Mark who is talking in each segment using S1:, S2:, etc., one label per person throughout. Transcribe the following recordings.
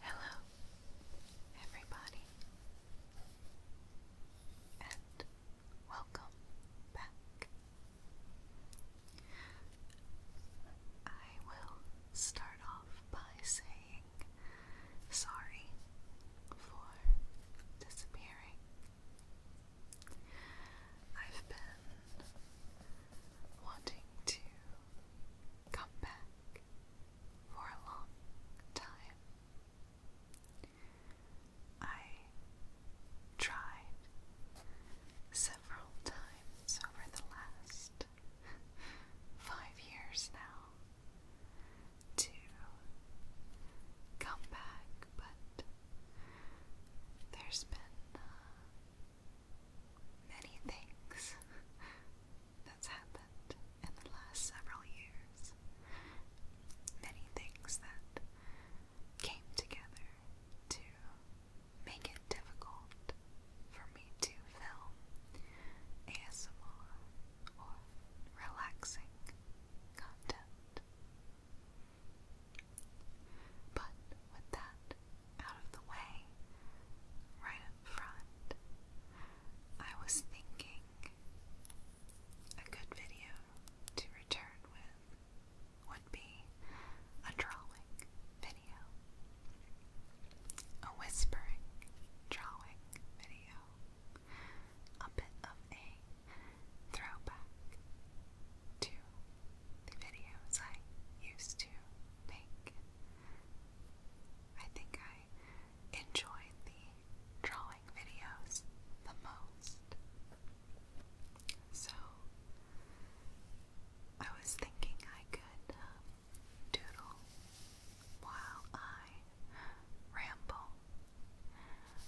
S1: Hello, everybody, and welcome back. I will start off by saying sorry for disappearing. I've been wanting to come back for a long time. I tried several times over the last five years now to come back, but there's been uh, many things that's happened in the last several years. Many things that came together to make it difficult for me to film ASMR or relaxing content. But with that out of the way, right up front. I was thinking a good video to return with would be a drawing video, a whispering drawing video, a bit of a throwback to videos I used to make. I think I enjoyed the drawing videos the most. So I was thinking I could um, doodle while I ramble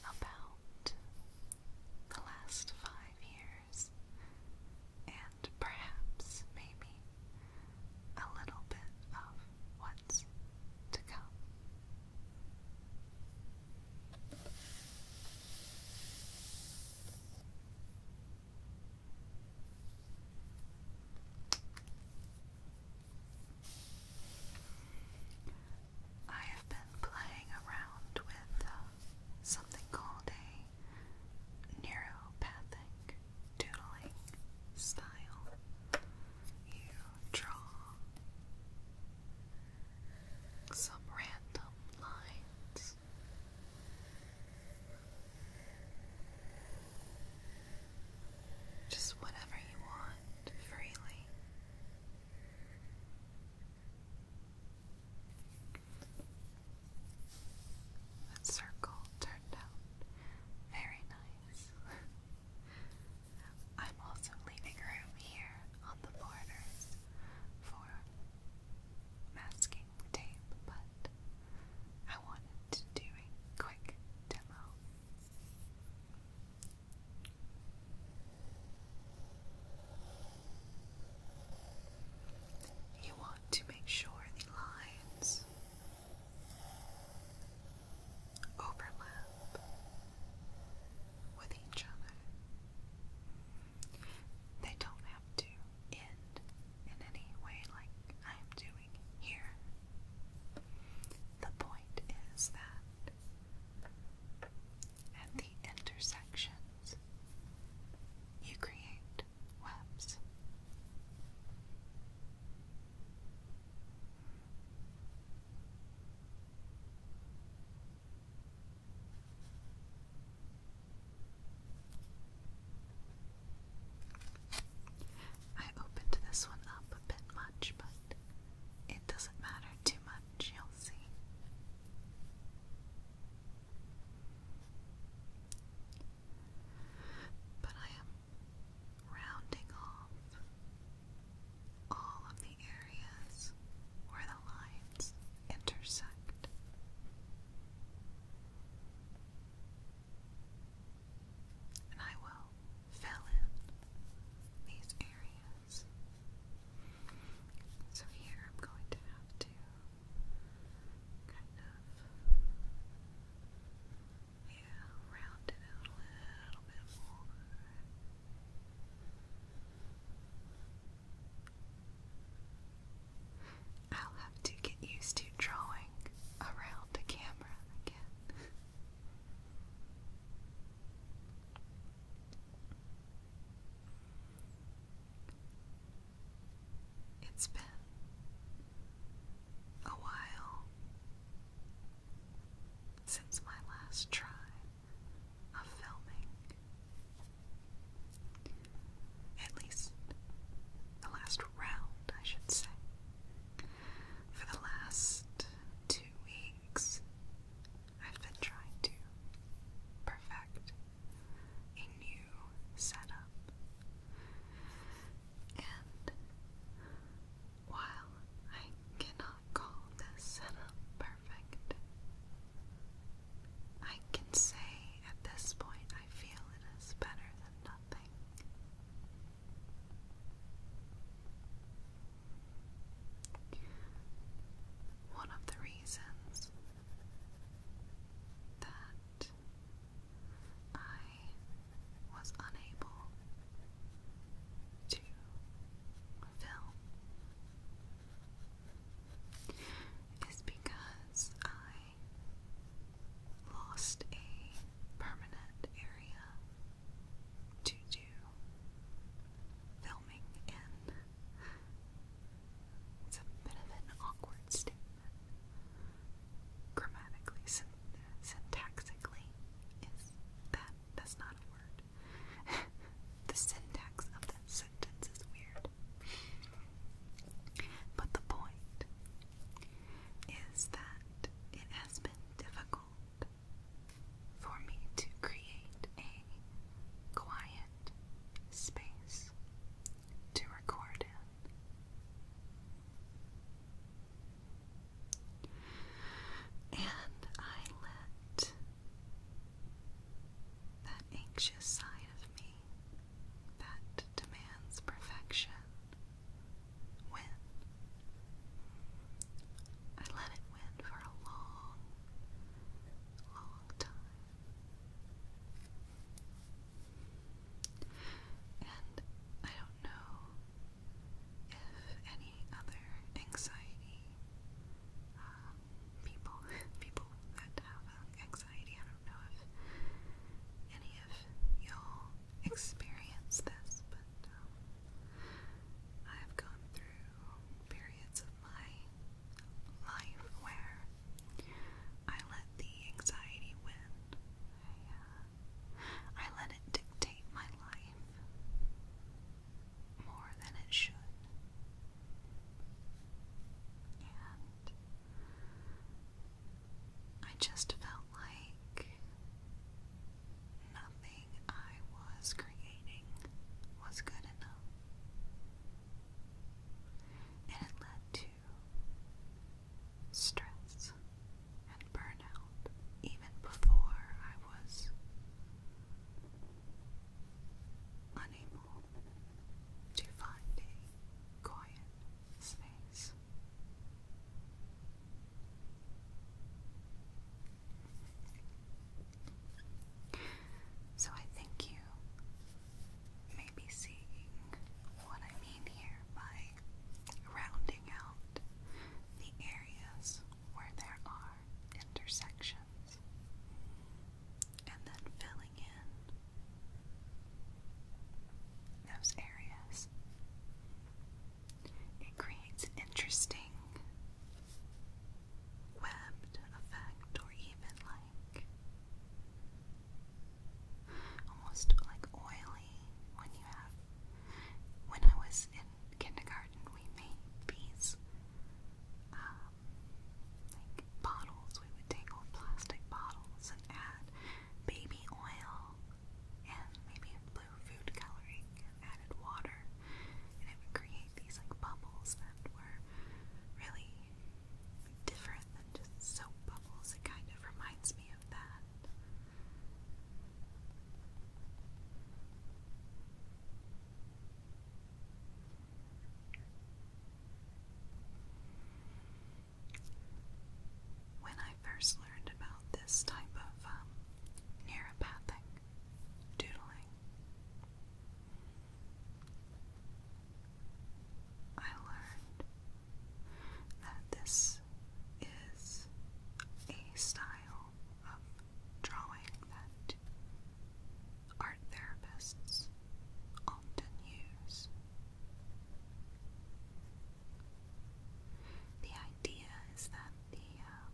S1: about the last five years and perhaps, maybe, a little bit of what's to come. I have been playing around with uh, something called a neuropathic doodling style. You draw some random lines. Just whatever you want freely. That circle turned out very nice. I'm also leaving room here on the borders for masking tape, but I wanted to do a quick demo. You want to make sure the lines overlap with each other. They don't have to end in any way like I'm doing here. The point is that at the intersections, you create I opened this one up a bit much, but it doesn't matter too much, you'll see. But I am rounding off all of the areas where the lines intersect. And I will fill in these areas. So here I'm going to have to kind of yeah, round it out a little bit more. I'll have to get used to drawing around the camera again. It's been a while since my last try of filming. At least the last round, I should say. For the last two weeks, I've been trying to perfect a new setup. And while I cannot call this setup perfect, I can say at this point I feel it is better than nothing. One of the reasons that I was unable to film is because I lost a permanent area to do filming in. It's a bit of an awkward statement. Grammatically, syntactically. syntaxically, is that that's not a word. the syntax of that sentence is weird. But the point is that it has been difficult for me to create a quiet space to record in. And I let that anxious side of me that demands perfection win. I let it win for a long, long time. And I don't know if any other anxiety um, people, people that have um, anxiety, I don't know if any of y'all experience this, but um, I've gone through periods of my life where I let the anxiety win. Uh, I, let it dictate my life more than it should. And I just felt like nothing I was creating was good enough. And it led to to stress and burnout even before I was unable to find a quiet space. So I thank you maybe seeing what I mean here by rounding out the areas where there are intersections and then filling in those areas. It creates an interesting webbed effect or even like almost like oily when you have. When I was in kindergarten, we made these um, like bottles. We would take old plastic bottles and add baby oil and maybe blue food coloring and added water, and it would create these like bubbles that were really different than just soap bubbles. It kind of reminds me of that. When I first learned about this type of um, neuropathic doodling, I learned that this is a style of drawing that art therapists often
S2: use.
S1: The idea is that the um,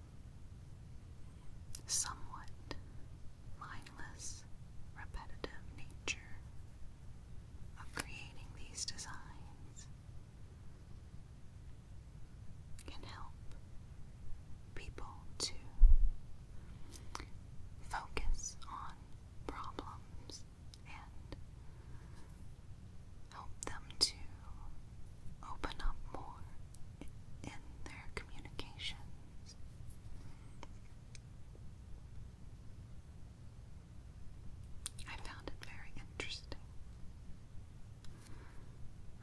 S1: somewhat mindless, repetitive nature of creating these designs can help people to focus on problems and help them to open up more in their communications. I found it very interesting.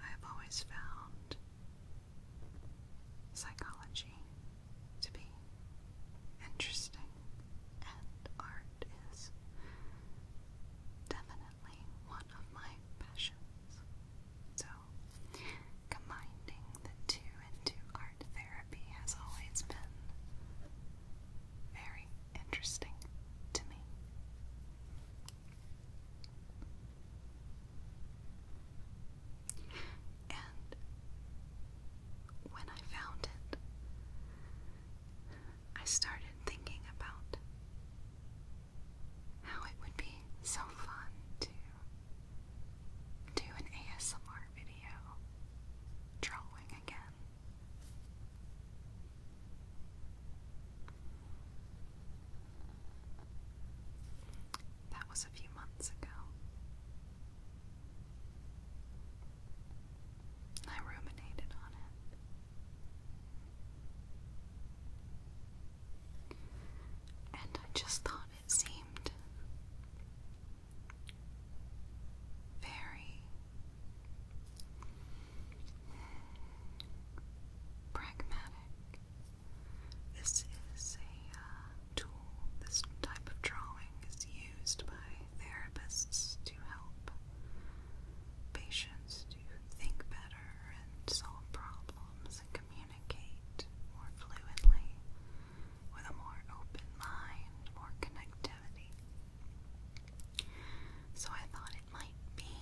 S1: I have always found psychology to be interesting, and art is definitely one of my passions. So, combining the two into art therapy has always been very interesting to me. And when I found it, I started thinking about how it would be so fun to do an ASMR video drawing again. That was a few months ago. I ruminated on it. And I just thought it seemed very pragmatic. This is a uh, tool, this type of drawing is used by therapists to help patients to think better and solve problems and communicate more fluidly with a more open mind, more connectivity. So I thought it might be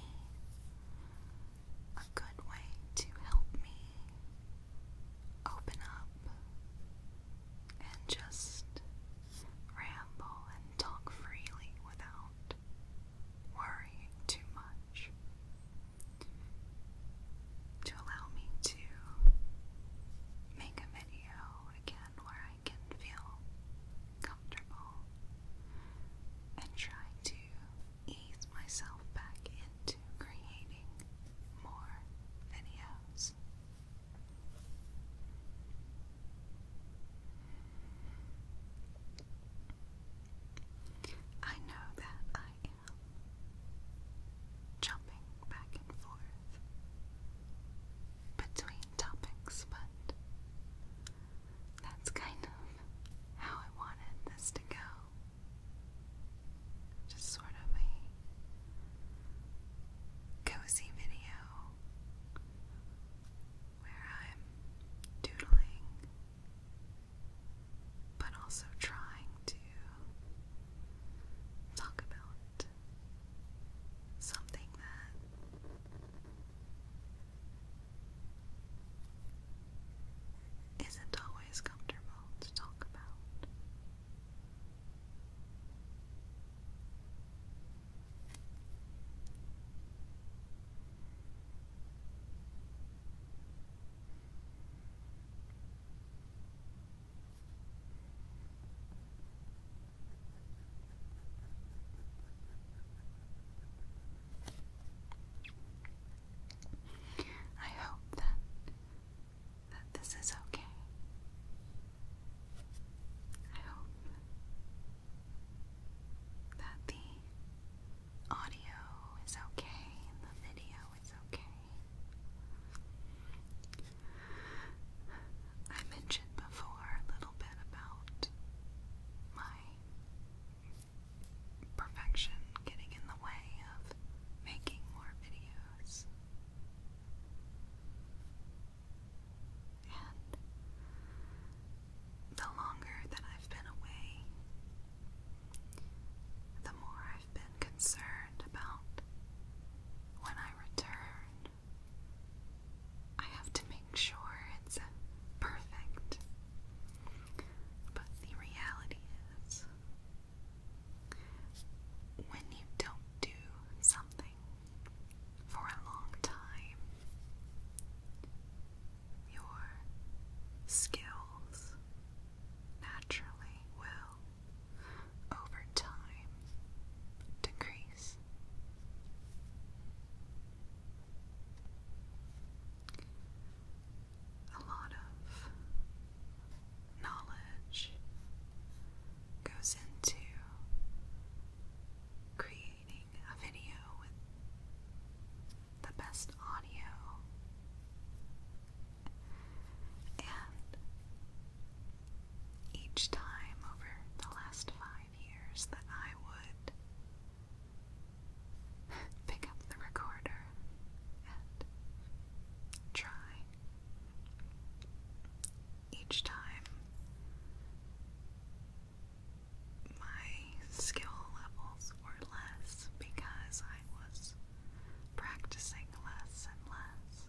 S1: a good way to help me open up and just ramble and talk freely without worrying too much. To allow me to make a video again where I can feel comfortable and try to ease myself back into creating more videos. I know that I am jumping back and forth between topics, but that's kind of how I wanted this to go. Just sort of a cozy video where I'm doodling but also trying to talk about something that isn't always comfortable to talk about. I hope that that this is okay. I hope that the audio is okay and the video is okay. I mentioned before a little bit about my perfection getting in the way of making more videos. And the longer that I've been away, the more I've been concerned about when I return. I have to make sure it's perfect. But the reality is, when you don't do something for a long time, your skills naturally will over time decrease. A lot of knowledge goes into creating a video with the best audio and each time over the last five years that I would pick up the recorder
S2: and try. Each
S1: time, my skill levels were less because I was practicing less and less.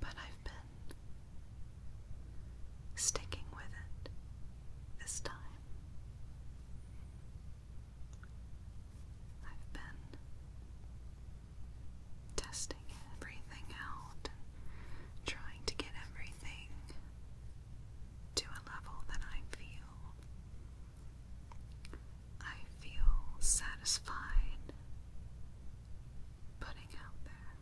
S1: But I've been sticking with it this time. I've been testing everything out trying to get everything to a level that I feel. I feel satisfied putting out there.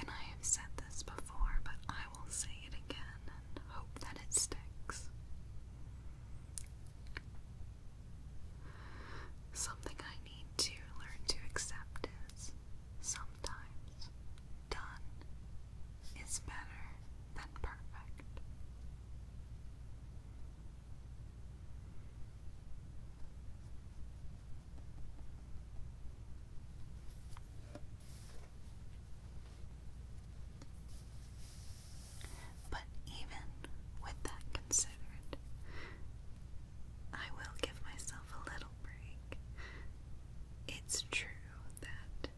S1: And I have said this before, but I will say it again and hope that it sticks. Something I need to learn to accept is sometimes done is better than perfect. But even with that considered, I will give myself a little break. It's true that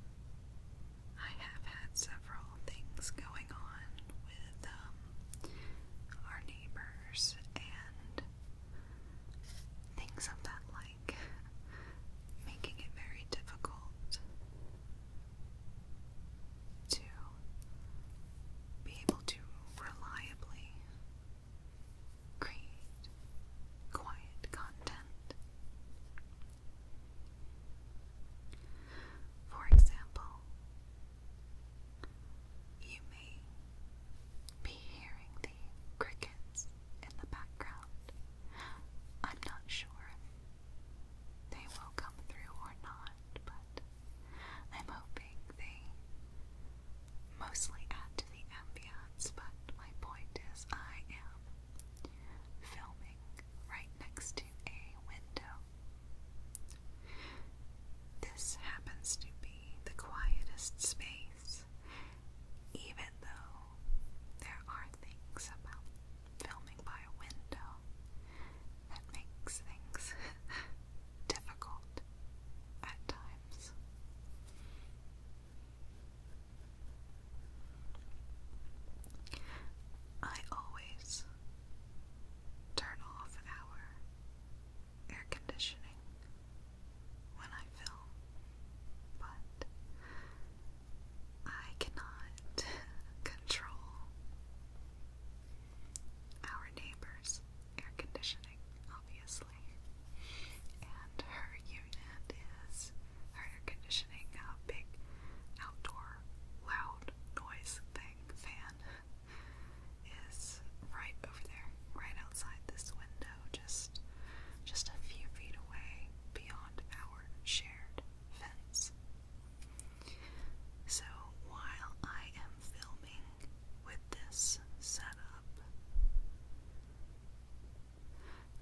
S1: I have had several things going on with um, our neighbors and things of that like, making it very difficult to be able to reliably create quiet content. For example, you may be hearing the crickets in the background. I'm not sure they will come through or not, but I'm hoping they mostly add to the ambience. But my point is, I am filming right next to a window. This happens to be the quietest space, even though there are things about filming by a window that makes things difficult at times. I always turn off our air conditioning when I film, but I cannot control our neighbor's air conditioning, obviously. And her unit is her air conditioning, a big outdoor loud noise thing, fan, is right over there, right outside this window, just just a few feet away beyond our shared fence. So while I am filming with this setup,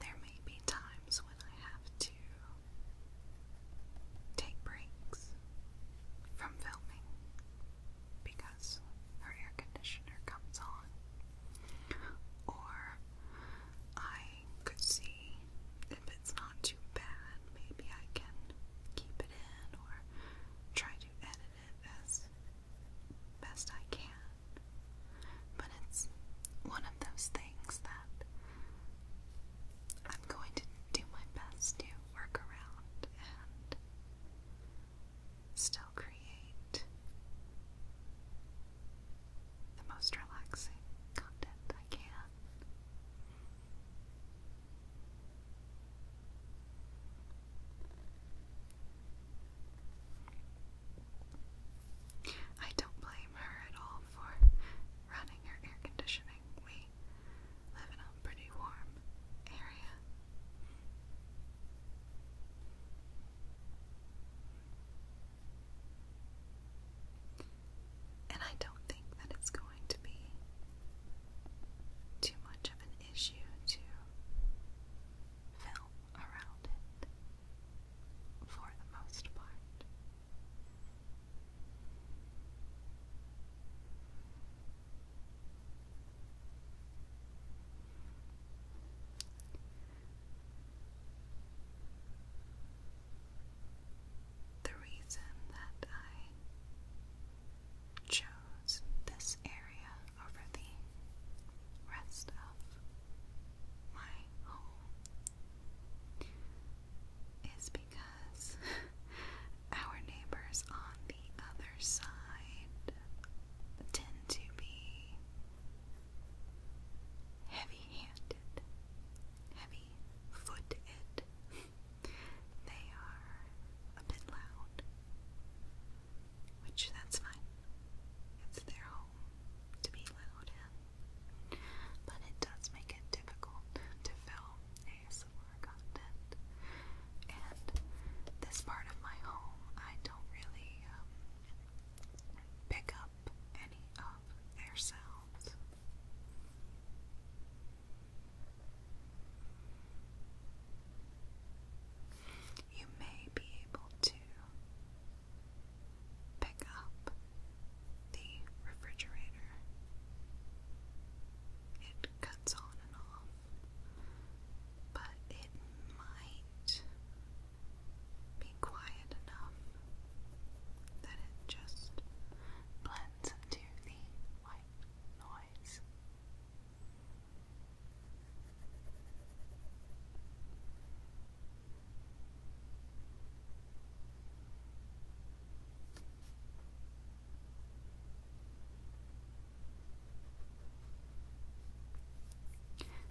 S1: there may be times when I have to take breaks from filming because her air conditioner comes on, or I could see if it's not too bad, maybe I can keep it in or try to edit it as best I can. But it's one of those things that I'm going to do my best to work around and still create the most relaxing content I can. I don't blame her at all for running her air conditioning. We live in a pretty warm area. And I don't think that it's going to be too much of an issue to film around it for the most part. The reason that I chose this area over the rest of my home is because our neighbors on the other side tend to be heavy handed, heavy foot it. they are a bit loud, which that's fine. It's their home to be loud in, but it does make it difficult to film ASMR content. And this part of my home, I don't really um, pick up any of uh, of their sounds. You may be able to pick up the refrigerator. It cuts on and off, but it might be quiet enough that it just blends into the white noise.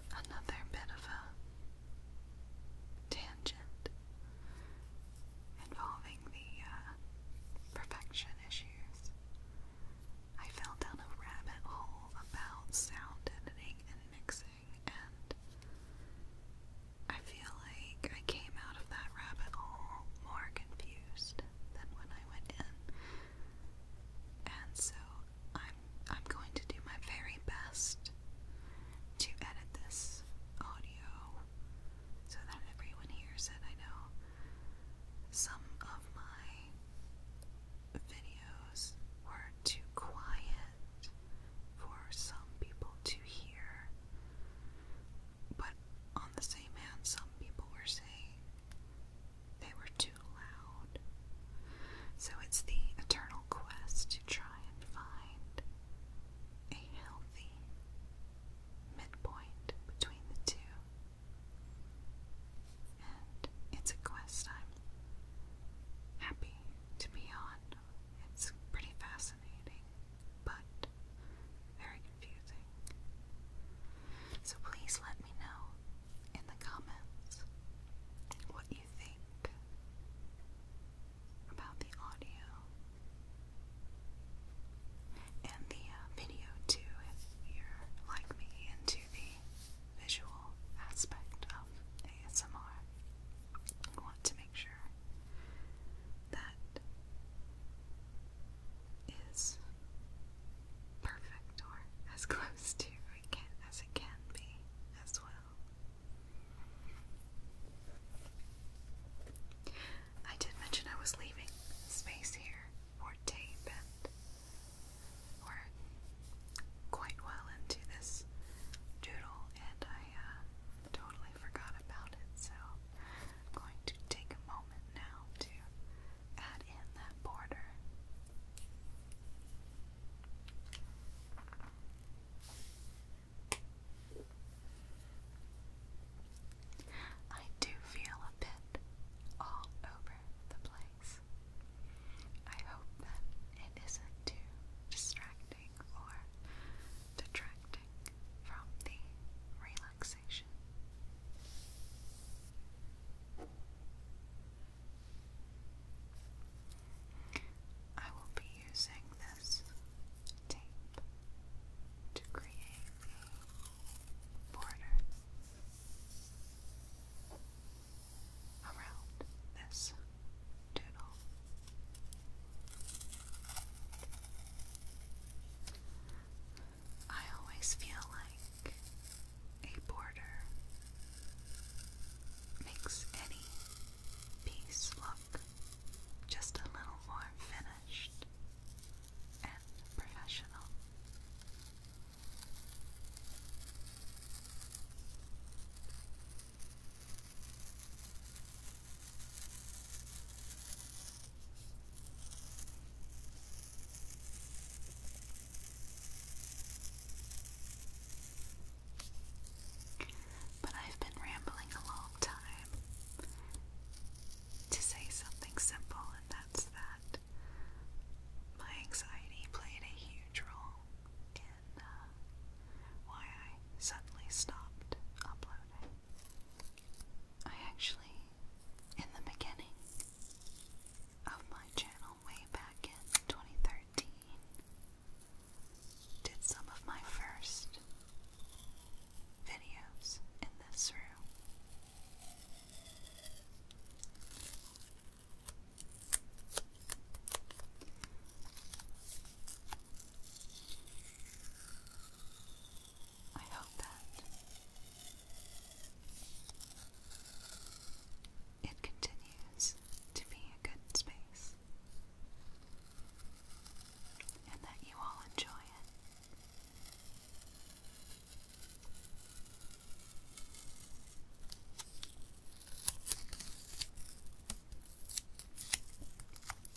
S1: Another bit of a tangent involving the uh, perfection issues. I fell down a rabbit hole about sound editing and mixing, and I feel like I came out of that rabbit hole more confused than when I went in. And so I'm I'm going to do my very best to edit this audio so that everyone hears it. I know some of my videos were too quiet for some people to hear, but on the same hand, some people were saying they were too loud. So it's the eternal quest to try and find a healthy midpoint between the two. And it's a quest I'm happy to be on. It's pretty fascinating, but very confusing. So please let me know in the comments what you think about the audio and the uh, video too, if you're like me into the visual aspect of ASMR. I want to make sure that is perfect or as close to it can, as it can be as well. I did mention I was leaving space here for tape, and we quite well into this doodle, and I uh, totally forgot about it, so I'm going to take a moment now to add in that border. I do feel a bit all over the place. I hope that it isn't too distracting or detracting from the relaxation. I will be using this tape to create a border around this doodle. I always feel like a border makes any Peace look just a little more finished and professional. But I've been rambling a long time to say something simple, and that's that my anxiety played a huge role in uh, why I suddenly stopped uploading. I actually, in the beginning of my channel way back in 2013, did some of my first videos in this room. I hope that it continues to be a good space and that you all enjoy it.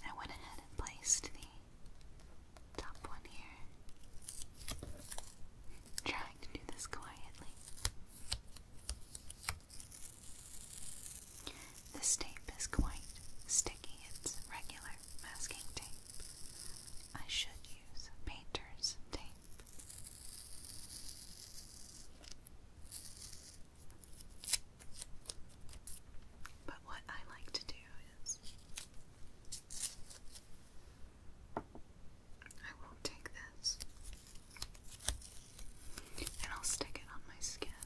S1: I went ahead and placed the top one here, trying to do this quietly. This tape is quite sticky, it's regular masking tape. I should use painter's tape. But what I like to do is I will take this and I'll stick it on my skin,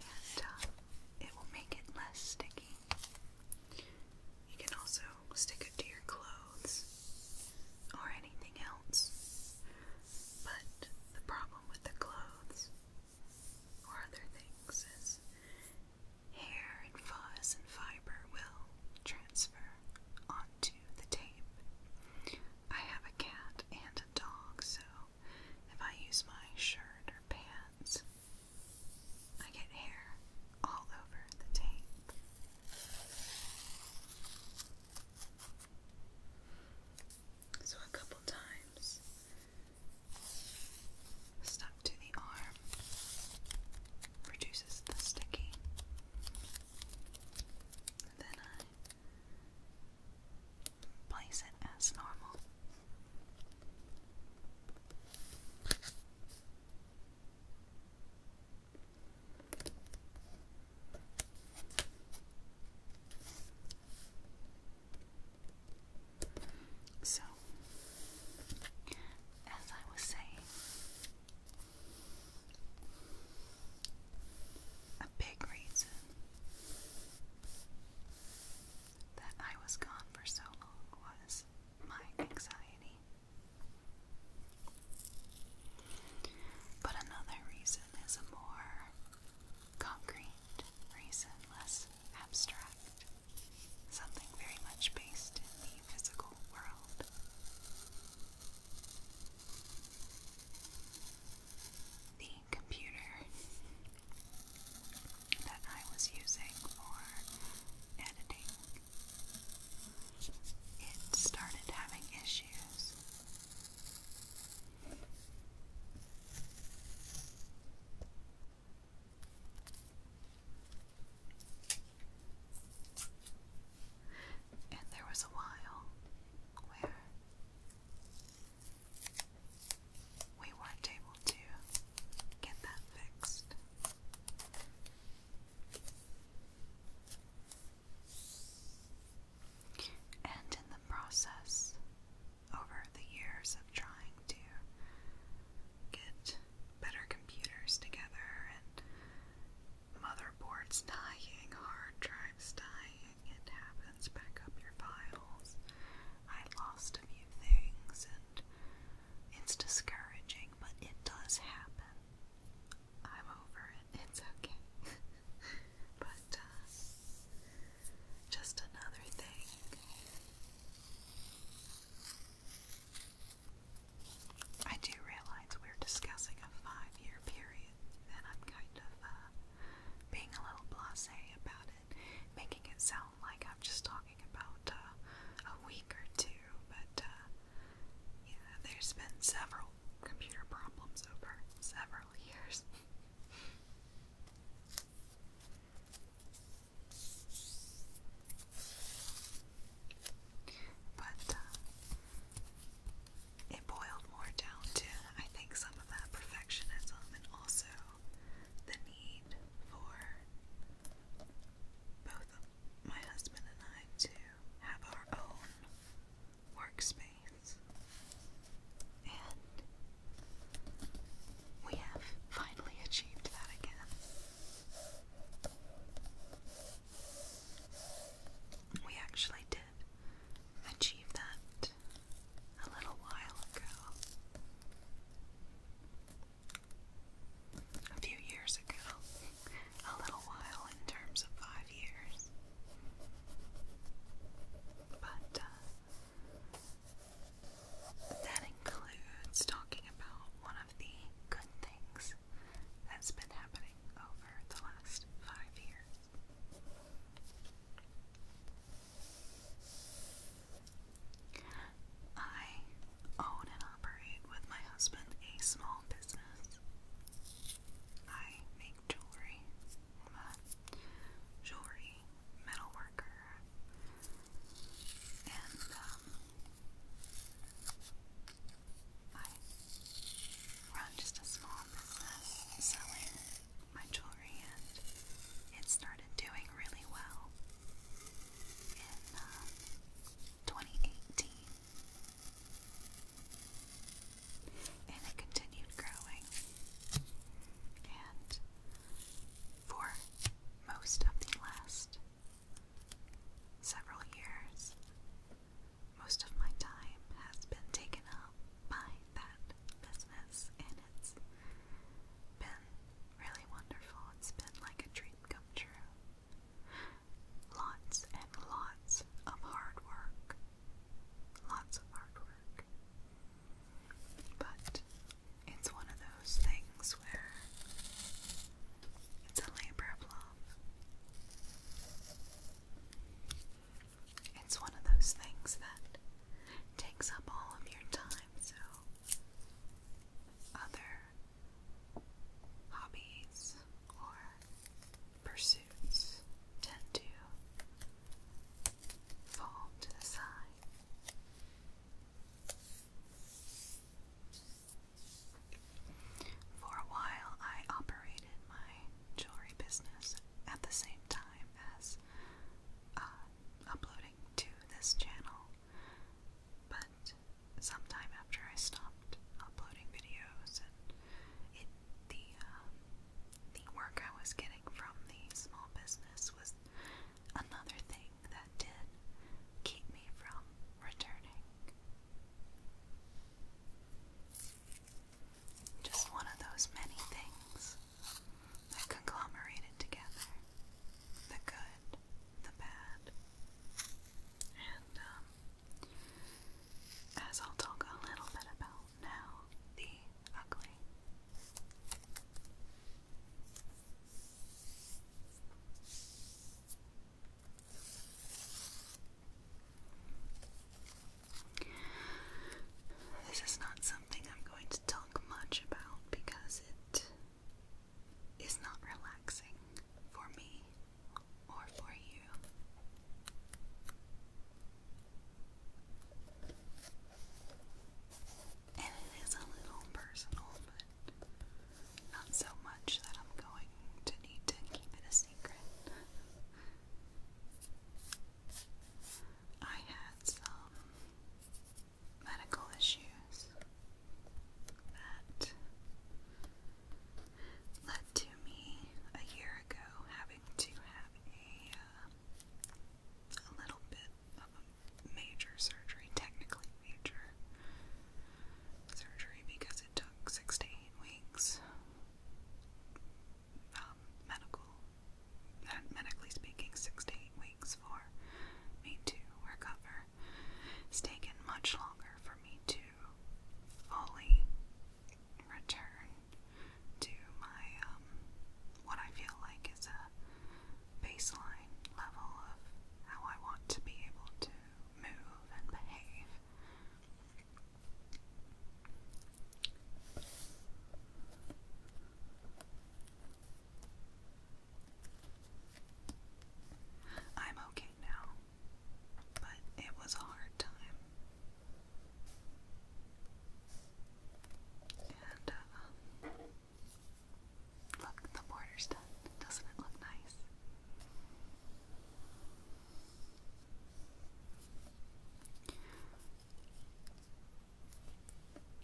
S1: and uh, it will make it less sticky. You can also stick it to your clothes or anything else, but the problem with the clothes or other things is hair and fuzz and fiber will transfer onto the tape. I have a cat and a dog, so if I use my shirt or pants, I get hair all over the tape. So, a couple times stuck to the arm reduces the sticking. then I Place it as normal. So, as I was saying, big reason that I was gone for so long was my anxiety. But another reason is a more concrete reason, less abstract, something very much based in the physical world. The computer that I was using for editing. It started having issues. And there was a while where we weren't able to get that fixed. And in the process, over the years of trying to get better computers together and motherboards dying, hard drives dying, it happens, back up your files. I lost a few things and it's discouraging, but it does happen. I'm over it, it's okay. but, uh, just another thing. I do realize we're discussing a five year period, and I'm kind of, uh, being a little blasé about it, making it sound like I'm just talking about uh, a week or two, but uh, yeah, there's been several computer problems over several years. But uh, it boiled more down to, I think, some of that perfectionism and also the need for both my husband and I to have our own workspace. And we have finally achieved that again. We actually did did that a little while ago. A few years ago. A little while in terms of five years. But uh, that includes talking about one of the good things that's been happening over the last five years. I own and operate with my husband a small business. I make jewelry. I'm a jewelry metalworker. And um, I run just a small business selling my jewelry and it started doing really well in uh, 2018. And it continued growing. And for most of the last several years, most of my time has been taken up buy that business, and it's been really wonderful. It's been like a dream come true. Lots and lots of hard work. Lots of hard work. But it's one of those things where it's a labor of love. It's one of those things that takes up all of your time, so other hobbies or pursuits
S2: tend to fall to the side.
S1: For a while, I operated my jewelry business at the same time as uh, uploading to this channel, but sometime after I stopped uploading videos and it, the um, the work I was getting from the small business was another thing that did keep me from returning. Just one of those many things that conglomerated together the good, the bad. And um, as I'll talk a little bit about now, the ugly. This is not something I'm going to talk much about because it is not relaxing for me or for you. And it is a little personal, but not so much that I'm going to need to keep it a secret. I had some medical issues that
S2: led to me a year ago having to have a, uh,
S1: a little bit of a major surgery, technically major surgery because it took six to eight weeks um, medical, medically speaking, six to eight weeks for me to recover. It's taken much longer for me to fully return to my um, what I feel like is a baseline level of how I want to be able to move and behave. I'm okay now, but it was a hard time. And, uh, um, look, the border's done. Doesn't it look nice?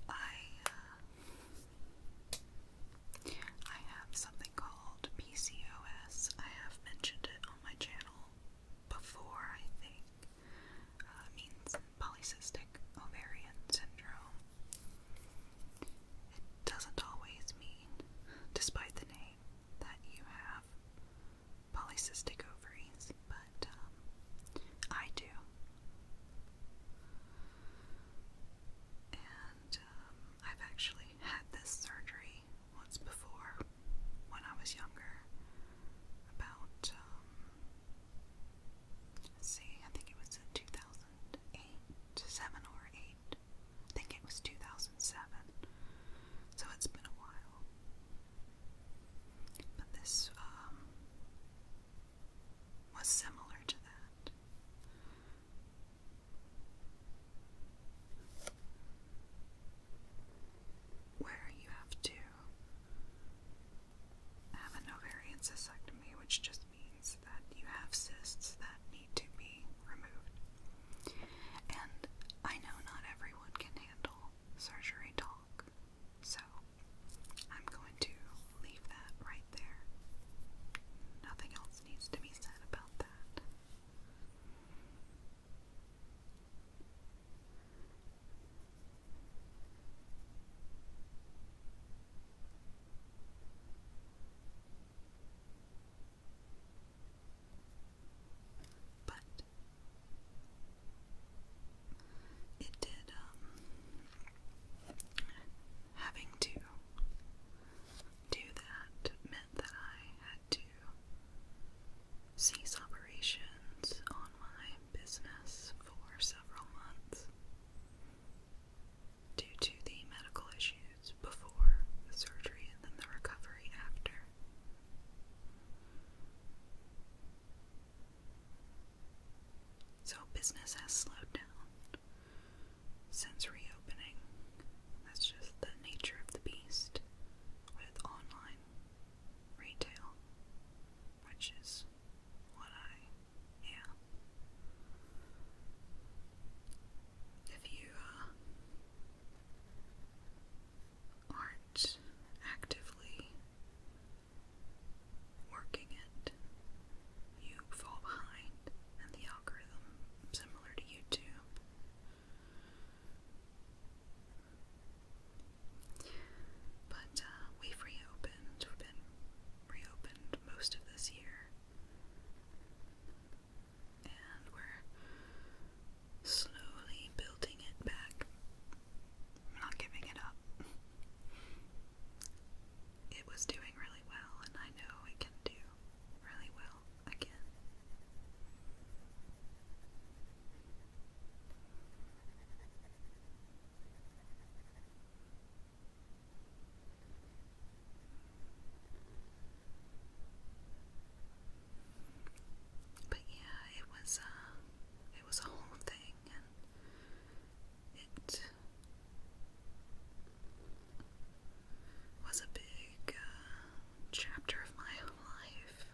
S1: I uh, I have something called PCOS. I have mentioned it on my channel before, I think. Uh, means polycystic ovarian syndrome. It doesn't always mean, despite the name, that you have polycystic ovaries, but um, I do. And um, I've actually had this surgery once before when I was younger. About, um, see, I think it was in 2008, 7 or 8. I think it was 2007. So it's been a while. But this um, was similar to that. Where you have to have an ovarian cystectomy, which just means that you have cysts that need to be removed. And I know not everyone can handle surgery talk, so I'm going to leave that right there. Nothing else needs to be said about that. But did. It did, um, having to do that meant that I had to cease operations on my business for several months due to the medical issues before the surgery and then the recovery after. So business has slowed down since reopening. That's just the nature of the beast with online retail, which is what I am. If you uh, aren't actively working it, you fall behind, and the algorithm, similar to YouTube, but uh, we've reopened. been reopened most of this year, and we're slowly building it back I'm not giving it up. It was doing really well, and I know it can do really well again. But yeah, it was uh, it was a whole thing, and it was a big uh, chapter of my life.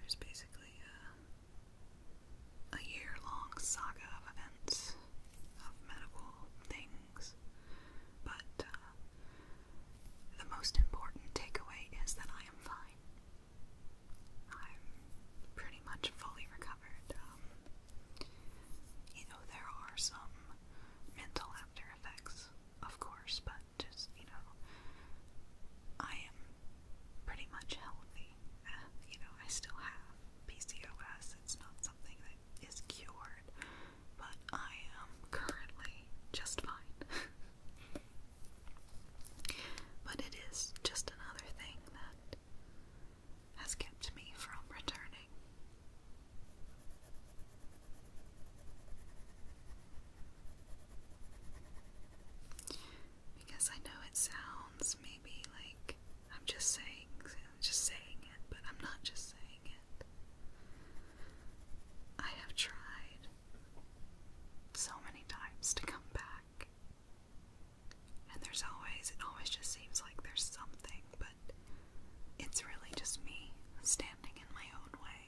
S1: There's basically uh, a, year long saga of events, of medical things, but uh, the most important takeaway is that I am fine. I'm pretty much fully recovered. Um, you know, there are some mental after effects, of course, but just, you know, I am pretty much healthy. Uh, you know, I still have PCOS, it's not something that is cured, but I am currently just fine. But it is just another thing that has kept me from returning. Because I know it sounds maybe like I'm just saying just saying it, but I'm not just saying it. I have tried so many times to come back and there's always, it always just seems like there's something, but it's really just me standing in my own way.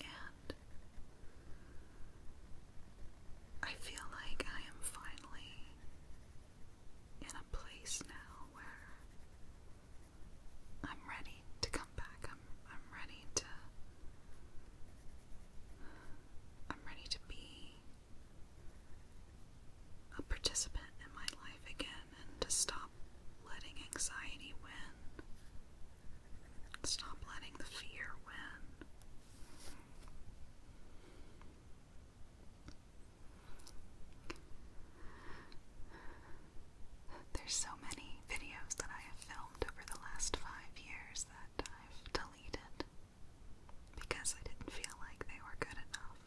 S1: And I feel like I am finally in a place now where I'm ready to come back. I'm I'm ready to I'm ready to be a participant in my life again and to stop letting anxiety win. Stop letting the fear win. There's so many videos that I have filmed over the last five years that I've deleted because I didn't feel like they were good enough,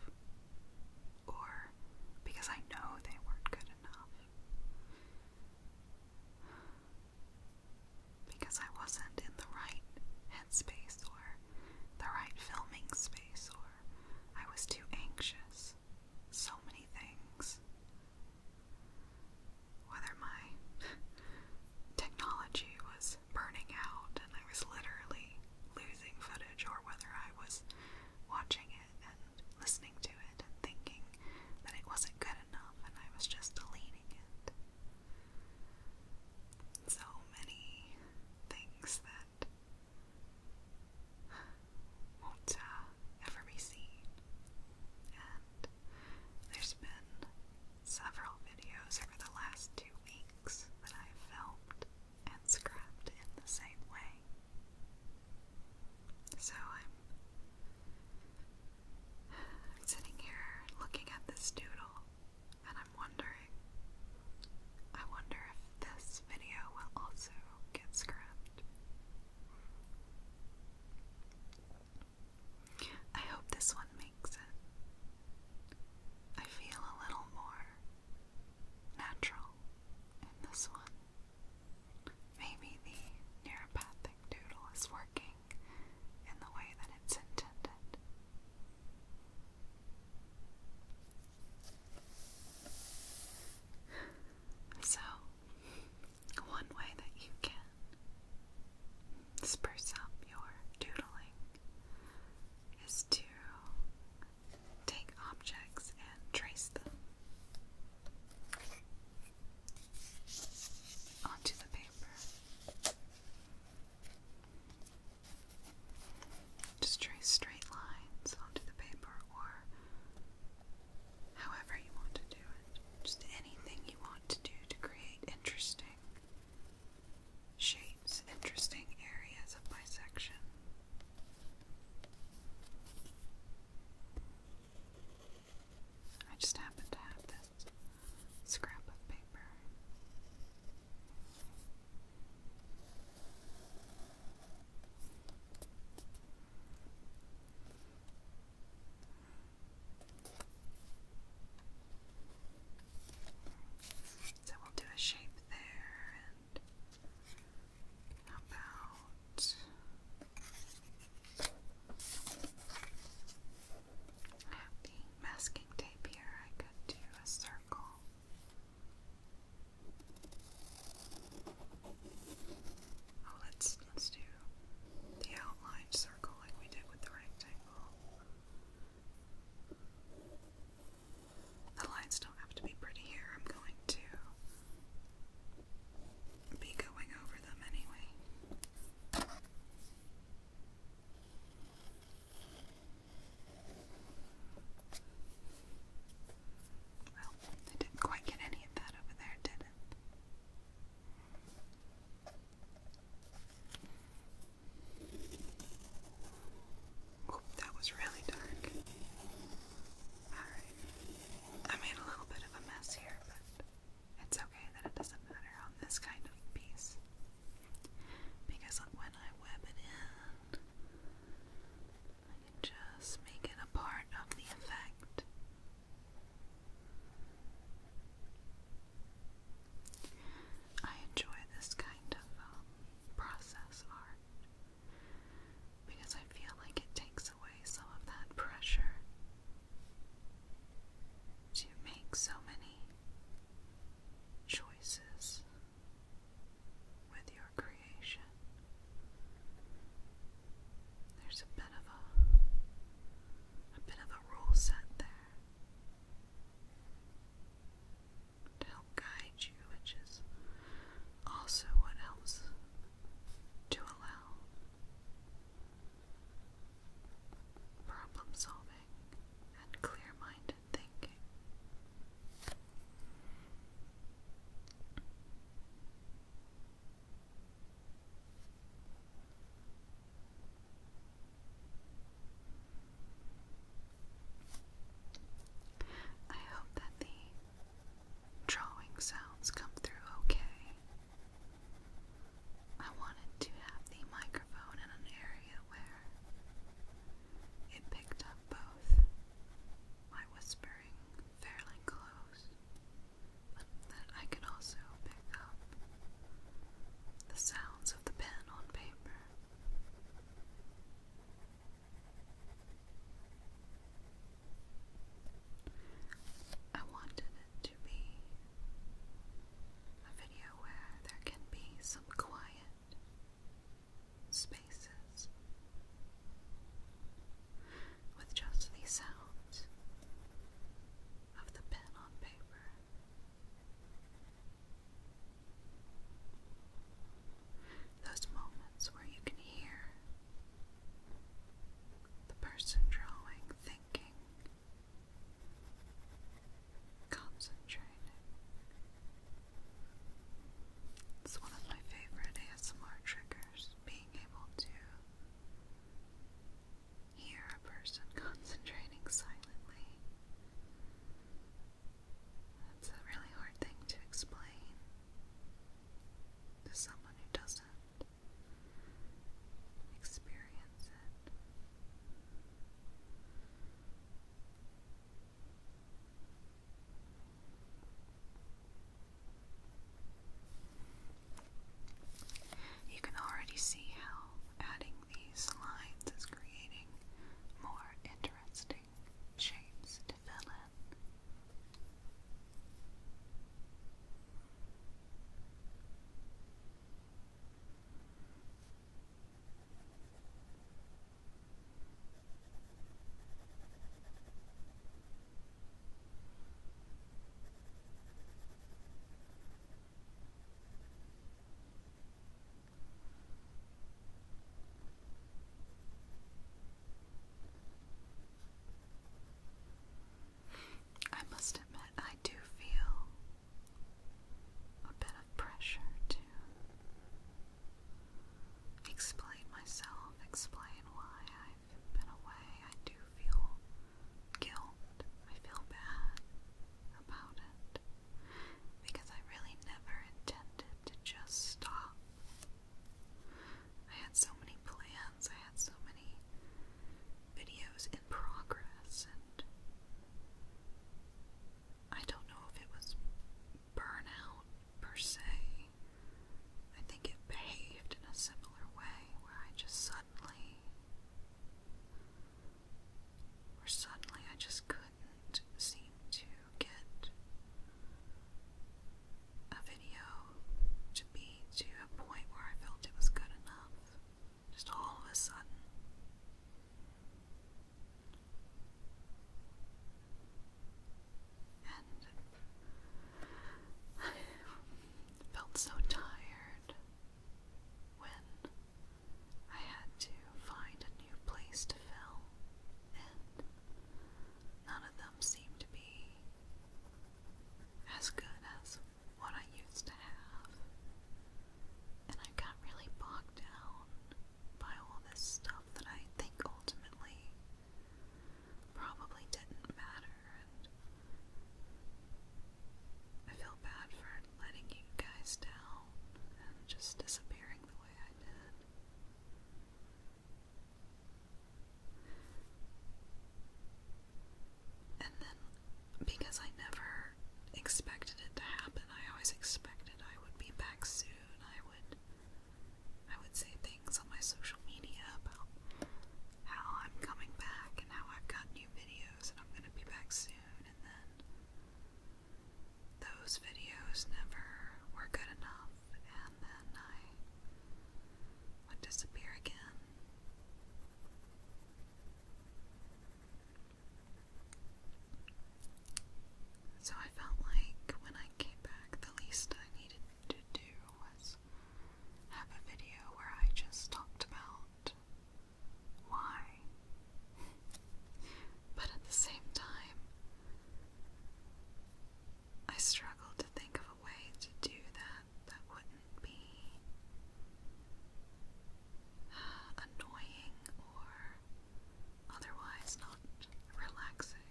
S1: or because I know they weren't good enough, because I wasn't in the right headspace or the right filming space, or I was too anxious. So many things whether my technology was burning out and I was literally losing footage or whether I was watching it and listening to it and thinking that it wasn't good enough and I was just deleting it. So many things that won't uh, ever be seen, and there's been several videos over the last two weeks that i filmed and scrapped in the same way. So am I'm sitting here looking at this doodle and I'm wondering, I wonder if this video will also get scrapped. I hope this one makes it. I feel a little more natural in this one. Maybe the neuropathic doodle is working in the way that it's intended. So, one way that you can spruce up your doodling is to take objects and trace them onto the paper. Just trace straight lines onto the paper or however you want to do it. Just anything you want to do to create interesting shapes, interesting areas of bisection. I just happen to have this scrap of paper. So we'll do a shape there, and about happy masking tape here? I could do a circle. Oh, let's let's do the outline circle like we did with the rectangle. The lines don't have to be pretty here. I'm going to be going over them anyway. Well, I didn't quite get any of that over there, did it? Oh, that was really dark. Alright. I made a little bit of a mess here, but it's okay that it doesn't matter on this kind of piece. Because when I web it in, I can just make it a part of the effect. I enjoy this kind of um, process art because I feel like it takes away some of that pressure to make so many choices with your creation. There's a bit of a a bit of a rule set there to help guide you, which is also what helps to allow problem solving and clear minded thinking. I hope that the drawing sounds come through okay. I wanted to have the microphone in an area where it picked up both my whispering fairly close that I can also pick up the sounds of the pen on paper. I wanted it to be a video where there can be some quiet spaces with just these sounds of the pen on paper. Those moments where you can hear the person drawing, thinking, concentrating. It's one of my favorite ASMR triggers, being able to Hear a person concentrating silently. That's a really hard thing to explain to someone who doesn't experience it. You can already see how adding these lines is creating more interesting shapes to fill in. I must admit, I do feel a bit of pressure to explain myself, explain why I i been away, I do feel guilt. I feel bad about it because I really never intended to just stop. I had so many plans, I had so many videos in progress, and I don't know if it was burnout per se. I think it behaved in a similar way where I just suddenly where suddenly I just couldn't seem to get a video to be to a point where I felt it was good enough. Just all of a sudden. And I felt so tired when I had to find a new place to film, and none of them seemed to be as good as what I used to have. And I got really bogged down by all this stuff that I think ultimately probably didn't matter. I feel bad for letting you guys down and just disappearing the way I did. And then, because I never expected it to happen, I always expected I would be back soon. I would, I would say things on my social media about how I'm coming back and how I've got new videos and I'm going to be back soon, and then those videos never were good enough, and then I would disappear again. So I felt like when I came back, the least I needed to do was have a video where I just talked about why. but at the same time, I struggled to think of a way to do that that wouldn't be annoying or otherwise not relaxing.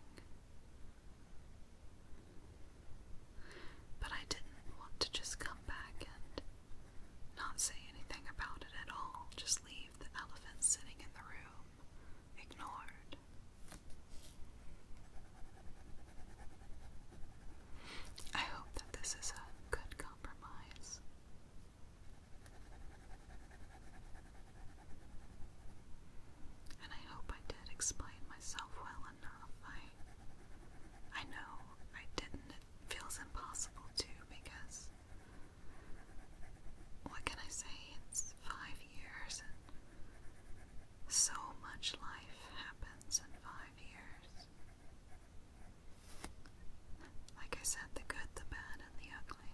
S1: But I didn't want to just come back and not say anything about it at all, just leave the elephant sitting in the room, ignored. I hope that this is a good compromise. And I hope I did explain myself well I, I know I didn't. It feels impossible too because, what can I say? It's five years and so much life happens in five years. Like I said, the good, the bad, and the ugly.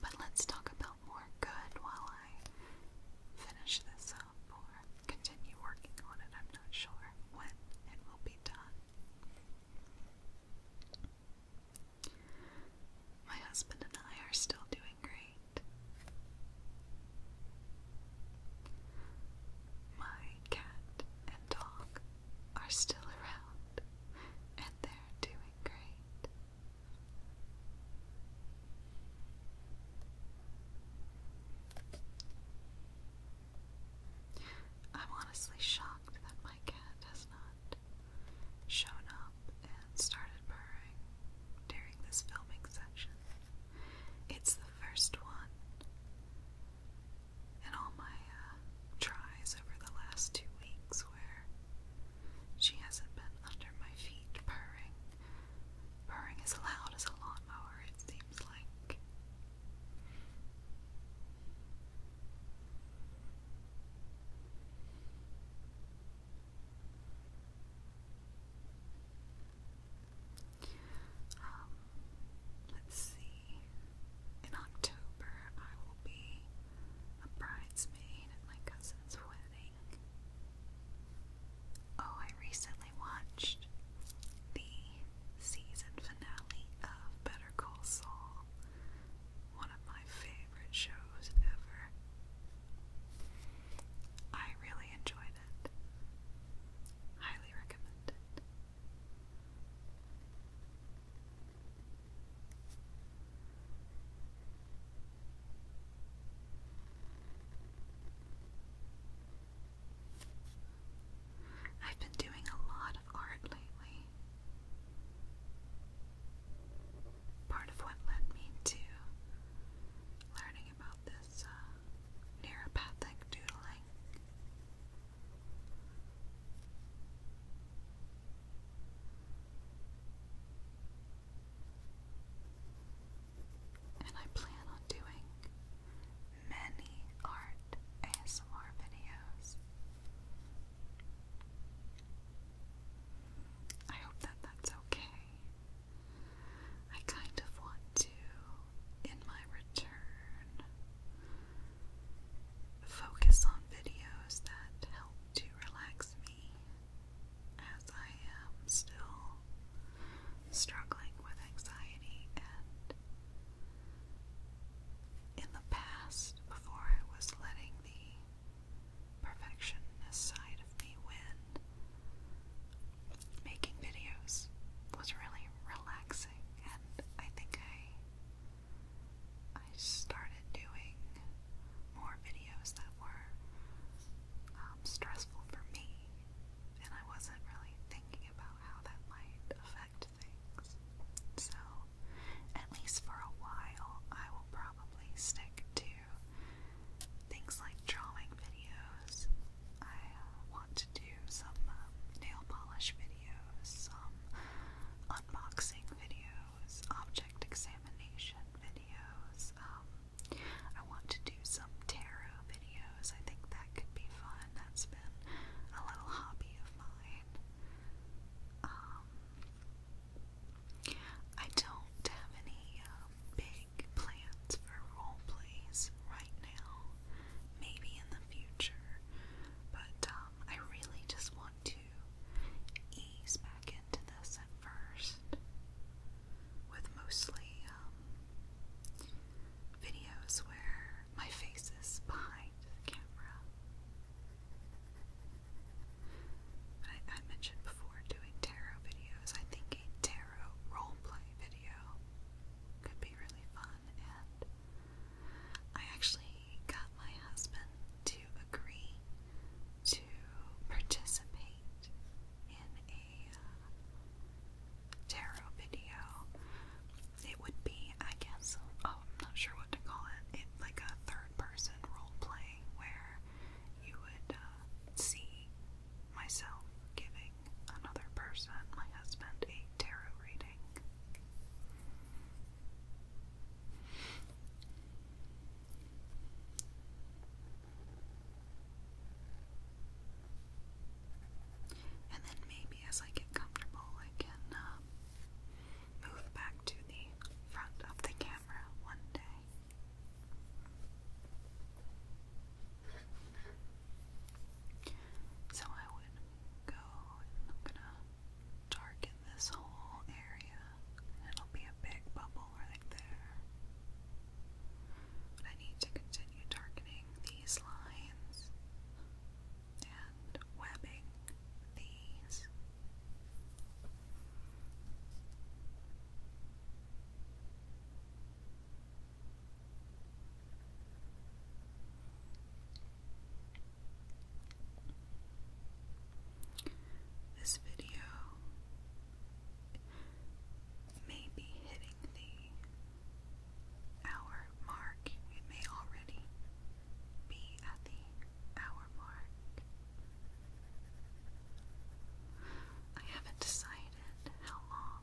S1: But let's talk about more good while finish this up or continue working on it. I'm not sure when it will be done. My husband and I are still doing great. My cat and dog are still around and they're doing great. I'm honestly shocked that my cat has not shown up and started purring during this filming session. It's the first one in all my uh, tries over the last two weeks where she hasn't been under my feet purring purring as loud as a lawnmower, it seems like. Um, let's see. In October, I will be a bridesmaid at my cousin's wedding. Oh, I recently watched the season finale of Better Call Saul, one of my favorite shows ever. I really enjoyed it. Highly recommend it. I've been doing a lot of art lately. Part of what led me to learning about this uh, neuropathic doodling and I plan on doing many art ASMR videos. I hope that that's okay. I kind of want to, in my return, focus on videos that help to relax me as I am still struggling with anxiety and in the past, before I was letting the perfectionist side of me win, making videos was really relaxing, and I think I I started doing more videos that were um, stressful for me and I wasn't really thinking about how that might affect things. So, at least for a while, I will probably stick to things like drawing videos. I uh, want to do some um, nail polish videos, some unboxing videos, object examination videos, um, I want to do some tarot videos. I think that could be fun. That's been a little hobby of mine. Um, I don't have any um, big plans for role plays right now. Maybe in the future, but um, I really just want to ease back into this at first with mostly um, videos where my face is behind the camera. I, mentioned before doing tarot videos. I think a tarot roleplay video could be really fun, and I actually got my husband to agree to participate in a tarot video. It would be, I guess, oh, I'm not sure what to call it. It like a third-person role playing where you would uh, see myself giving another person, my husband, a tarot reading. And then maybe as I get comfortable, I can um, move back to the front of the camera one day. So I would go and I'm gonna darken this whole area. It'll be a big bubble right there. But I need to continue darkening these lines and webbing these. This video may be hitting the hour mark. It may already be at the hour mark. I haven't decided how long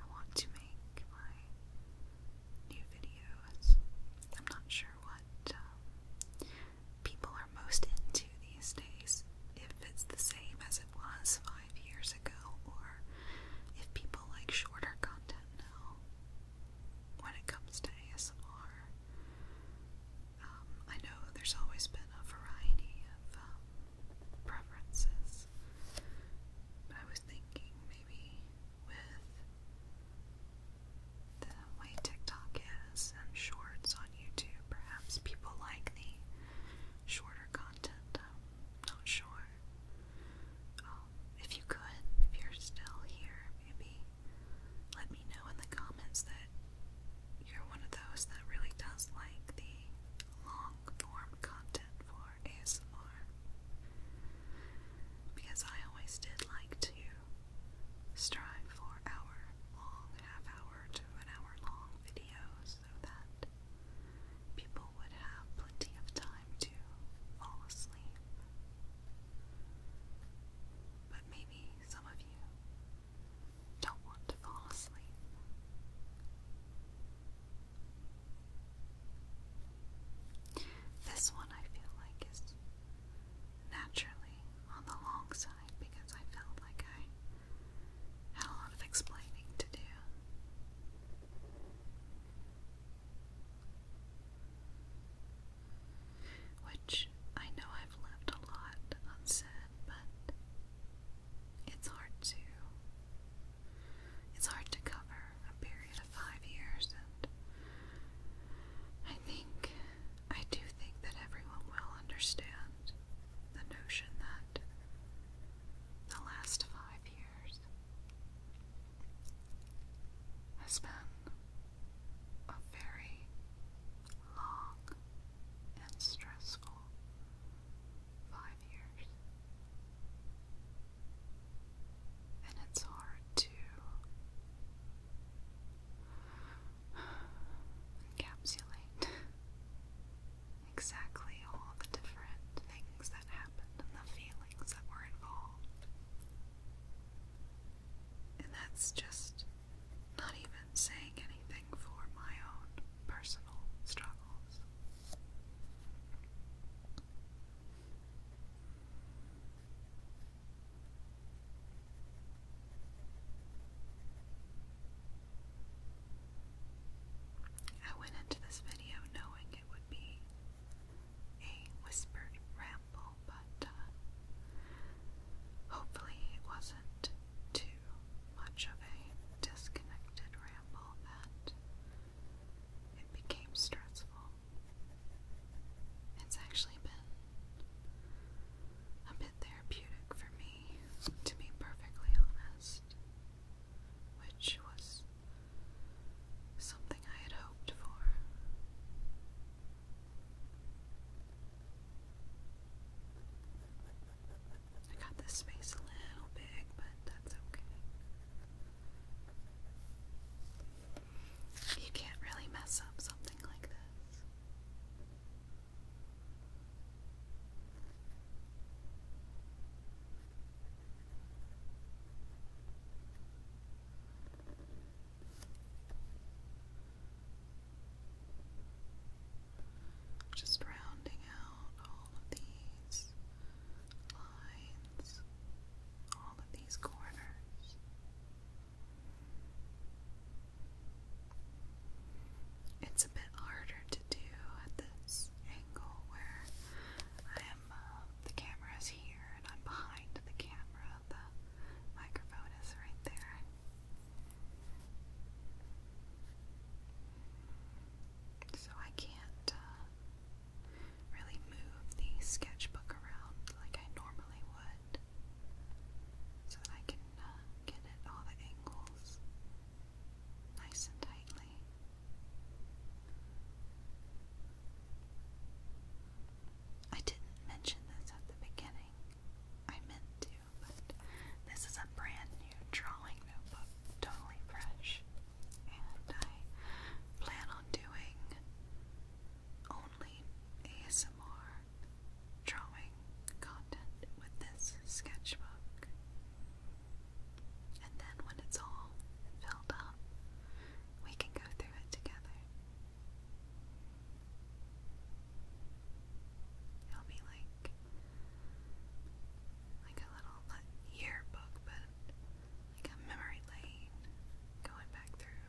S1: I want to make my new videos. I'm not sure what um, people are most into these days. If it's the same as it was years ago, or if people like shorter content now when it comes to ASMR. Um, I know there's always been a variety of um, preferences, but I was thinking maybe with the way TikTok is and shorts on YouTube, perhaps people like the shorter content. Um, not sure. Um, if you could, if you're still here, maybe let me know in the comments that you're one of those that really does like the long form content for ASMR. Because I always did like to strive for hour long, half hour to an hour long videos so that people would have plenty of time to fall asleep. But maybe some of you don't want to fall asleep. This one I feel like is naturally on the long side because I felt like I had a lot of explaining to do. Which I know I've left a lot unsaid, but it's hard to it's hard to cover a period of five years I think I do think that everyone will understand the notion that the last five years has been a very long and stressful five years. And it's hard to encapsulate exactly all the different things that happened and the feelings that were involved. And that's just not even saying anything for my own personal struggles. I went into this video knowing it would be a whispered ramble, but uh, hopefully it wasn't too much of a disconnected ramble that it became stressful. It's actually been a bit therapeutic for me, to be perfectly honest which was something I had hoped for. I got this space a little big, but that's okay. You can't really mess up something like this. Just rounding out all of these lines, all of these corners it's a bit harder to do at this angle where I am, uh, the camera is here and I'm behind the camera, the microphone is right there. So I can't uh, really move the sketchbook around like I normally would so that I can uh, get at all the angles nice and tightly. I didn't mention this at the beginning. I meant to, but this is a brand new drawing notebook, totally fresh. And I plan on doing only ASMR drawing content with this sketchbook. And then when it's all filled up, we can go through it together. It'll be like like a little yearbook, but like a memory lane going back through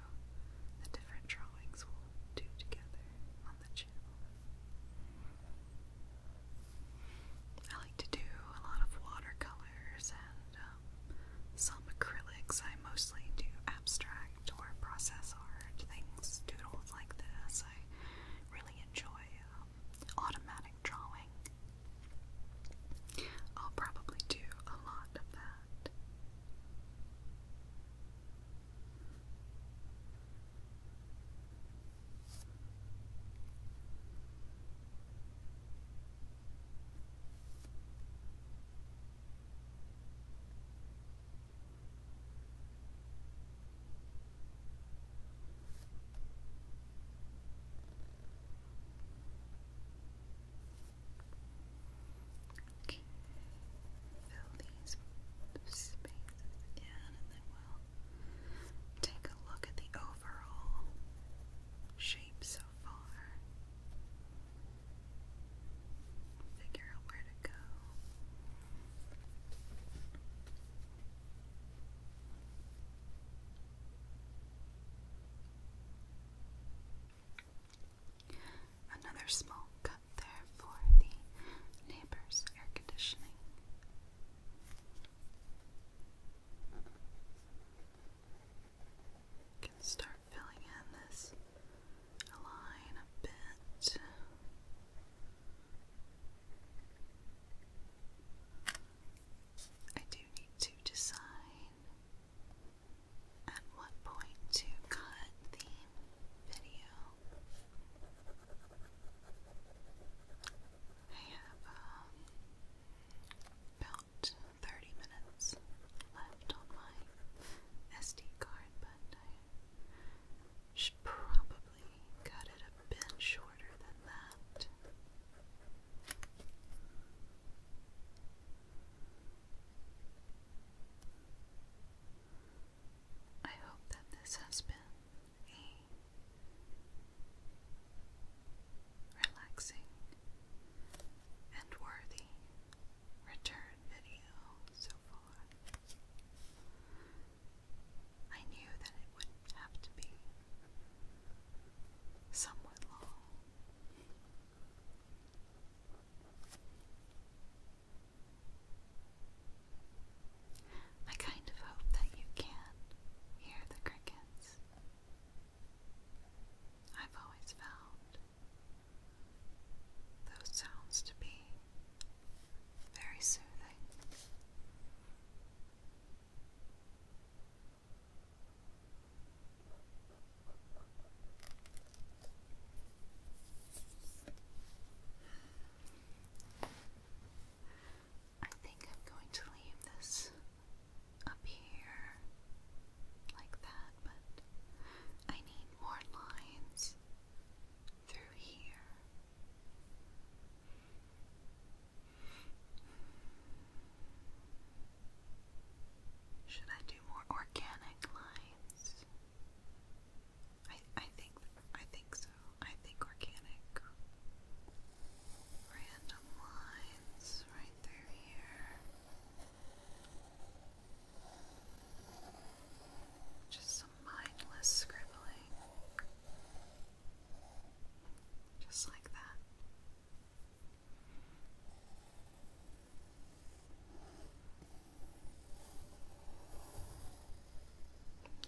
S1: the different drawings we'll do together on the channel. I like to do a lot of watercolors and um, some acrylics. I mostly do abstract or process art things, doodles like this. I really enjoy um, automatic drawing. I'll probably do a lot of that. Okay, fill these spaces in and then we'll Take a look at the overall shape so far. Figure out where to go. Another small cut there for the neighbor's air conditioning. You can start filling in this line a bit. I do need to decide at what point to cut the video. I have um, about 30 minutes left on my SD card, but I should probably cut it a bit shorter than that. I hope that this has been relaxing and worthy return video so far. I knew that it would have to be somewhat long. I kind of hope that you can hear the crickets. I've always found those sounds to be very soothing. I think I'm going to leave this up here like that, but I need more lines through here. Should I do more organic lines? I I think I think so. I think organic. Random lines right through here. Just some mindless scribbling. Just like that.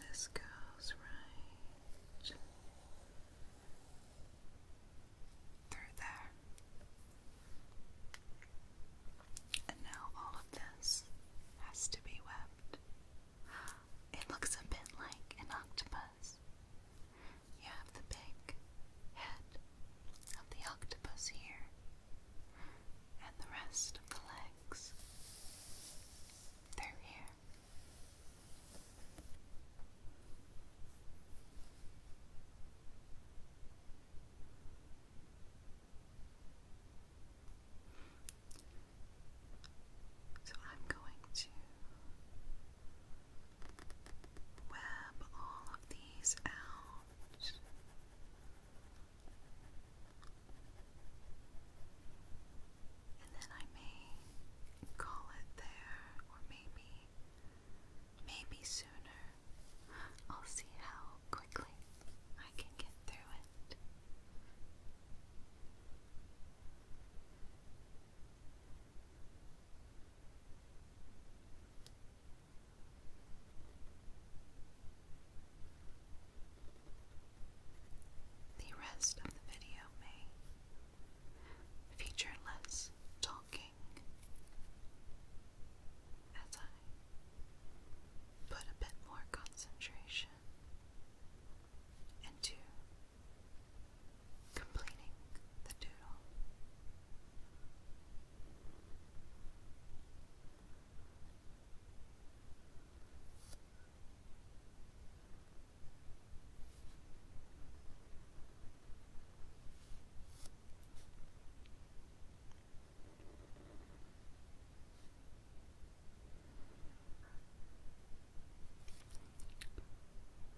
S1: This goes right through there. And now all of this has to be webbed. It looks a bit like an octopus. You have the big head of the octopus here, and the rest of the legs. They're here. So I'm going to web all of these out and then I may call it there, or maybe, maybe sooner. I'll see how quickly I can get through it. The rest of the video may Featureless talking as I put a bit more concentration into completing the doodle.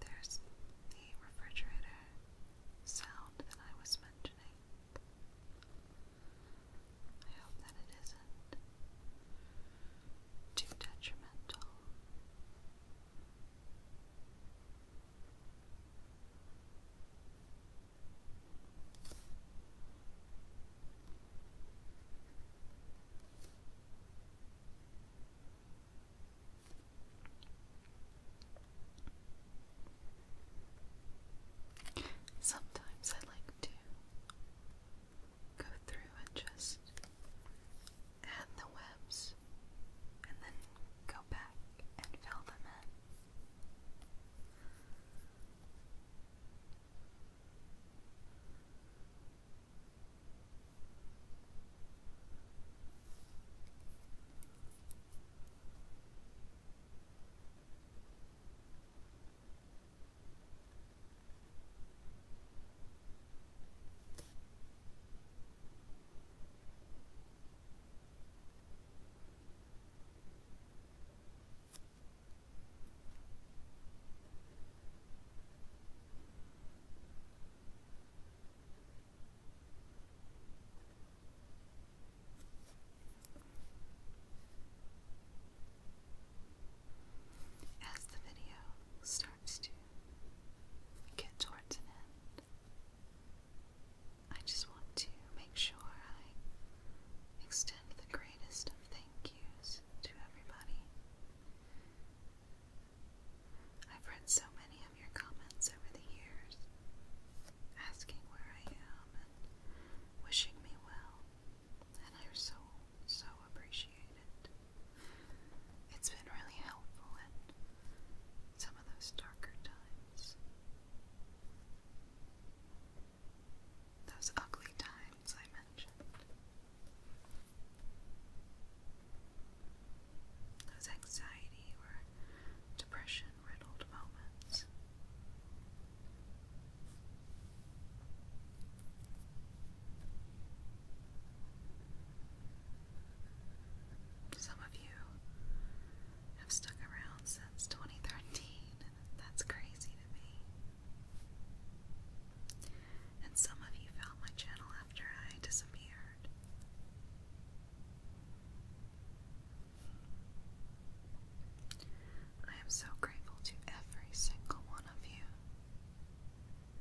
S1: There's the refrigerator sound that I was mentioning. I hope that it isn't too detrimental. Sometimes I like to go through and just add the webs, and then go back and fill them in. As the video starts to get towards an end. I just want to make sure I extend the greatest of thank yous to everybody. I've read so many of your comments over the years, asking where I am and wishing me well, and I so, so appreciate it. It's been really helpful in some of those darker times. Those ugly times I mentioned. Those anxiety or depression riddled moments. Some of you have stuck around since 2013. That's crazy to me. And some of you found my channel after I disappeared. I am so grateful to every single one of you.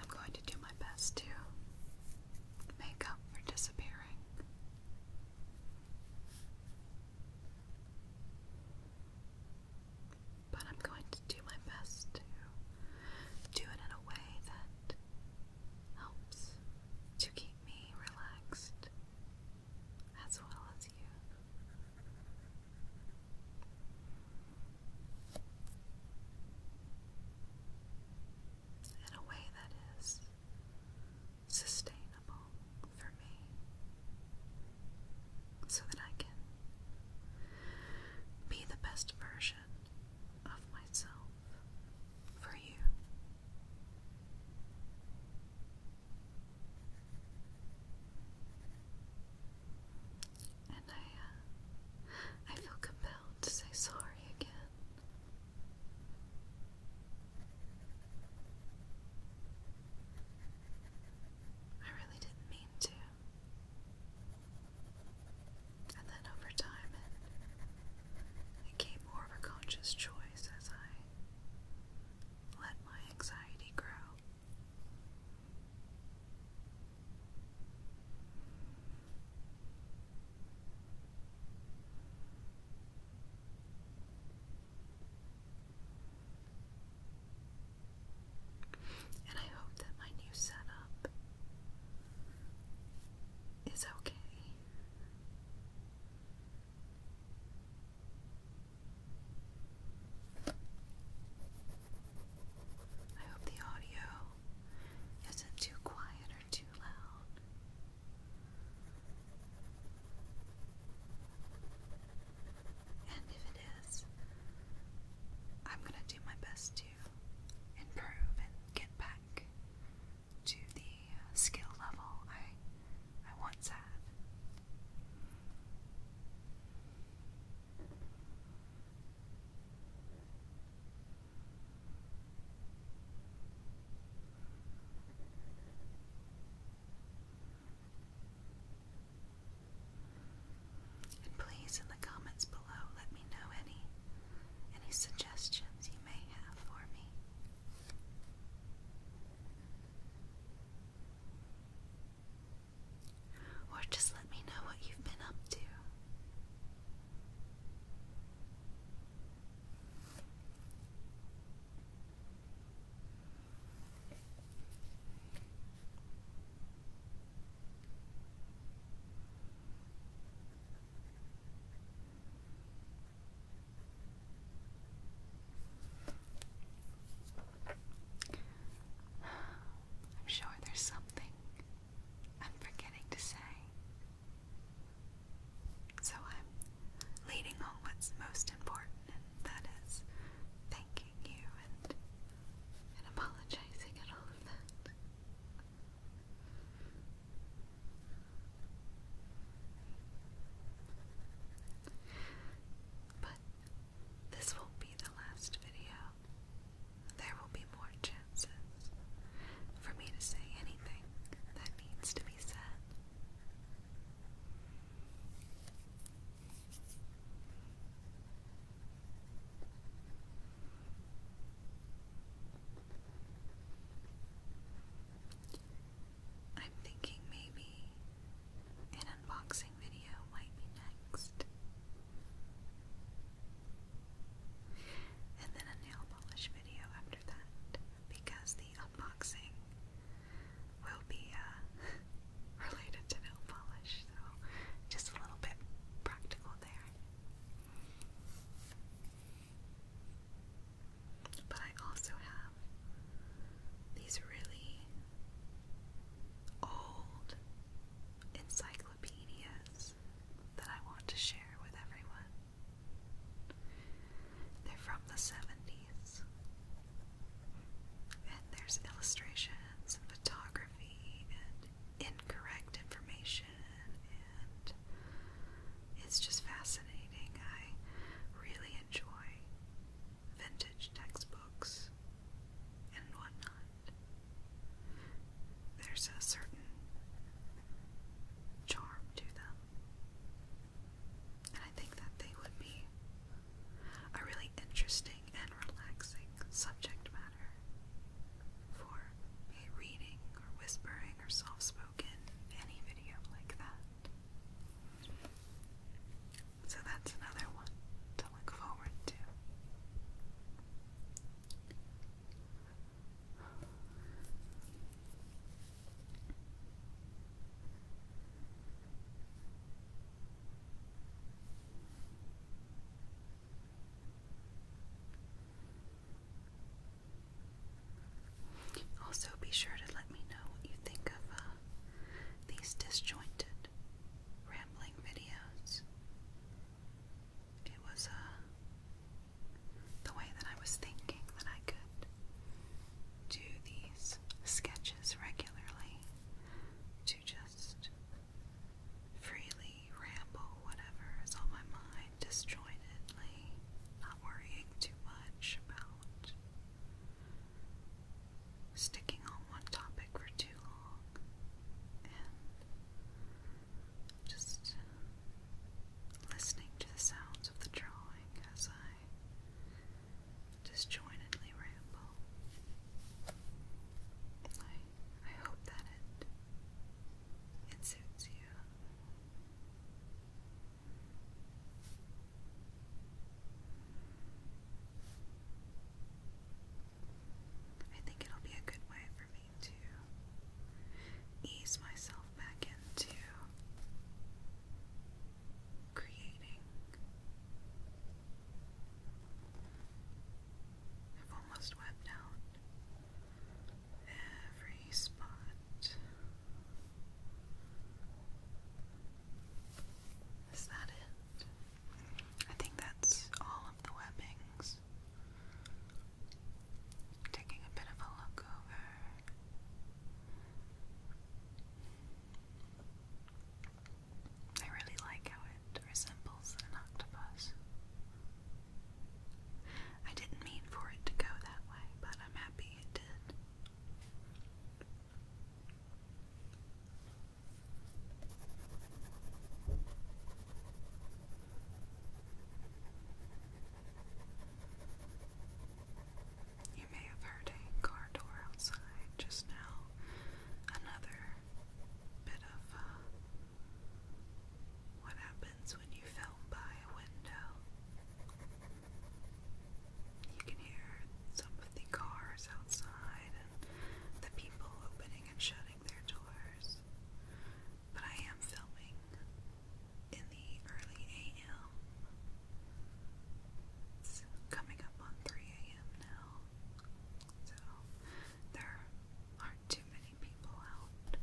S1: I'm going to do my best to make up for disappearing. But I'm going to do my best to do it in a way that helps to keep me relaxed as well as you in a way that is sustainable for me so that I can be the best version of myself for you. And I, uh, I feel compelled out to say sorry again. I really didn't mean to. And then over time, it became more of a conscious choice as I let my anxiety grow. And I hope that my new setup is okay. I hope the audio is it too quiet or too loud? And if it is, I'm going to do my best to improve and get back to the uh, skill level I I once had. And please, in the comments below, let me know any any suggestions you may have for me. Or just let me know what you've been up to. I'm sure there's something I'm forgetting to say. So I'm leading on what's most important, and that is thanking you and, and apologizing and all of that. But this will be the last video there will be more chances for me to say anything that needs to be said. I'm thinking maybe an unboxing video might be next and then a nail polish video after that because the unboxing will be uh, related to nail polish, so just a little bit practical there. But I also have these really old encyclopedias that I want to share with everyone. They're from the 70s, and there's illustrations and photography and incorrect information, and it's just fascinating. I really enjoy vintage textbooks and whatnot. There's a certain charm to them. And I think that they would be a really interesting and relaxing subject matter for reading or whispering or soft spoken, any video like that. So that's another one to look forward to. Also, be sure to let me know what you think of uh, these disjointed rambling videos it was uh, the way that I was thinking that I could do these sketches regularly to just freely ramble whatever is on my mind disjointedly, not worrying too much about sticking on one topic for too long just listening to the sounds of the drawing as I disjointedly ramble. I, I hope that it, suits you. I think it'll be a good way for me to ease myself back into creating. I've almost wiped out every spot. Is that it? I think that's all of the webbings. Taking a bit of a look over. I really like how it resembles an octopus. I didn't mean for it to go that way, but I'm happy it did. You may have heard a car door outside just now. Another bit of uh, what happens when you film by a window. You can hear some of the cars outside and the people opening and shutting their doors but I am filming in the early AM. It's coming up on 3 AM now. So there aren't too many people out.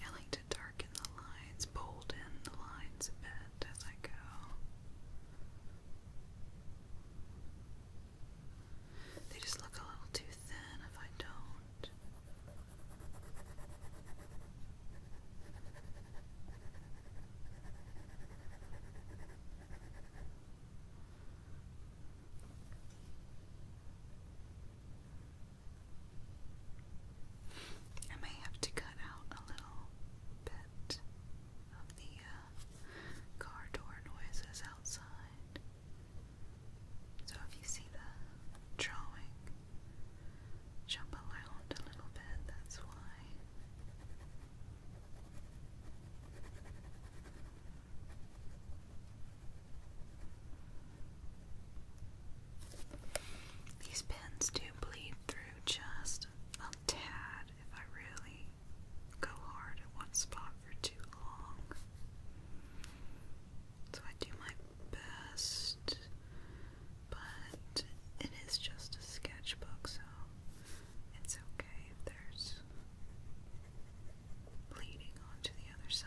S1: I like to darken the lines, bold in the lines a bit as I go. They just look a little too thin if I don't. I may have to cut out a little bit of the uh, car door noises outside. So if you see the drawing jump around a little bit, that's why. These pins do bleed through just a tad if I really go hard at one spot for too long. So I do my best, but it is just a sketchbook, so it's okay if there's bleeding onto the other side.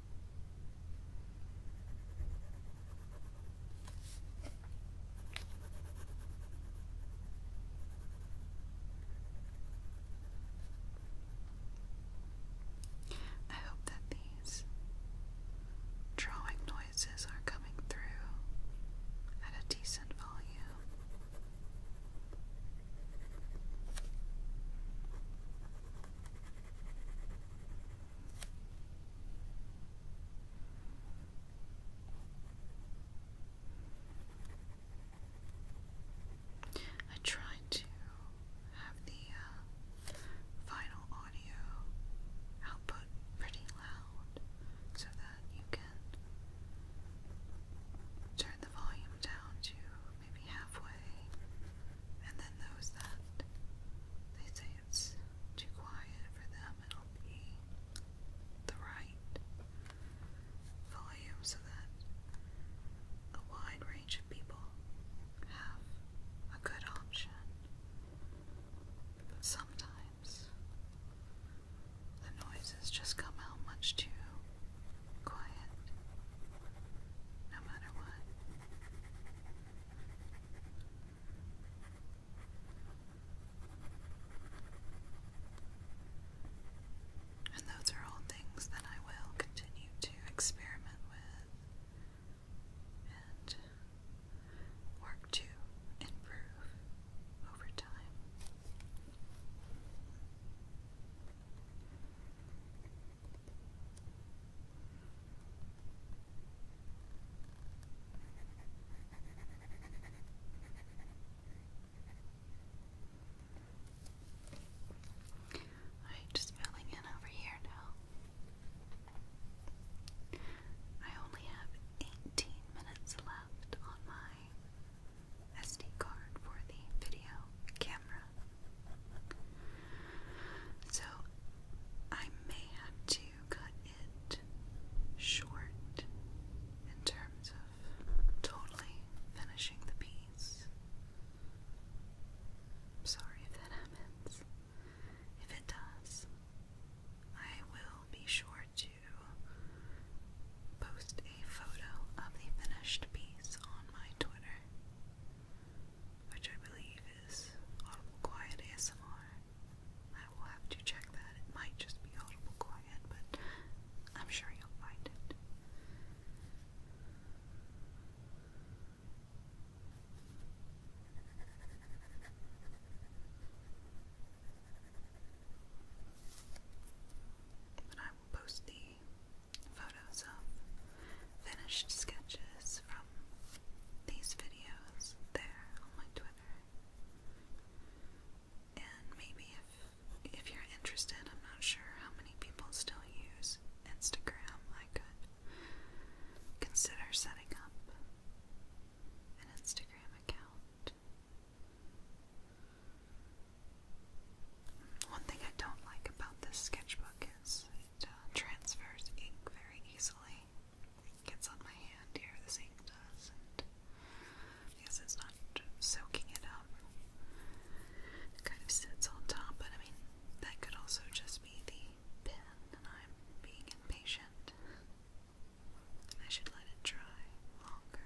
S1: I hope that these drawing noises are coming through at a decent volume. I tried to have the uh, final audio output pretty loud so that you can turn the volume down to maybe halfway, and then those that they say it's too quiet for them, it'll be the right volume so that a wide range of people have a good option. But sometimes the noises just come out much too quiet, no matter what. And those are all things that I will continue to experiment with and work to improve over time. Alright, just filling in over here now. I only have 18 minutes left on my SD card for the video camera. So I may have to cut it short in terms of totally finishing the piece. am sorry if that happens. If it does, I will be sure to post a photo of the finished piece on my Twitter which I believe is Audible Quiet ASMR. I will have to check that. It might just be Audible Quiet, but I'm sure you'll find it. But I will post the photos of finished sketches from these videos there on my Twitter. And maybe if if you're interested, I'm not sure how many people still use Instagram. I could consider setting up an Instagram account. One thing I don't like about this sketchbook is it uh, transfers ink very easily gets on my hand here, The ink does, and I guess it's not soaking it up. kind of sits on top, but I mean, that could also just be the pen, and I'm being impatient. I should let it dry longer.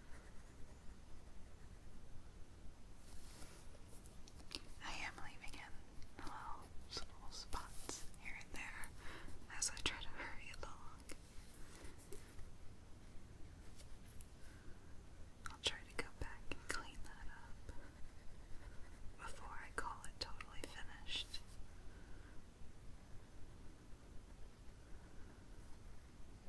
S1: I am leaving in little, spots here and there as I try to hurry along. I'll try to go back and clean that up before I call it totally finished.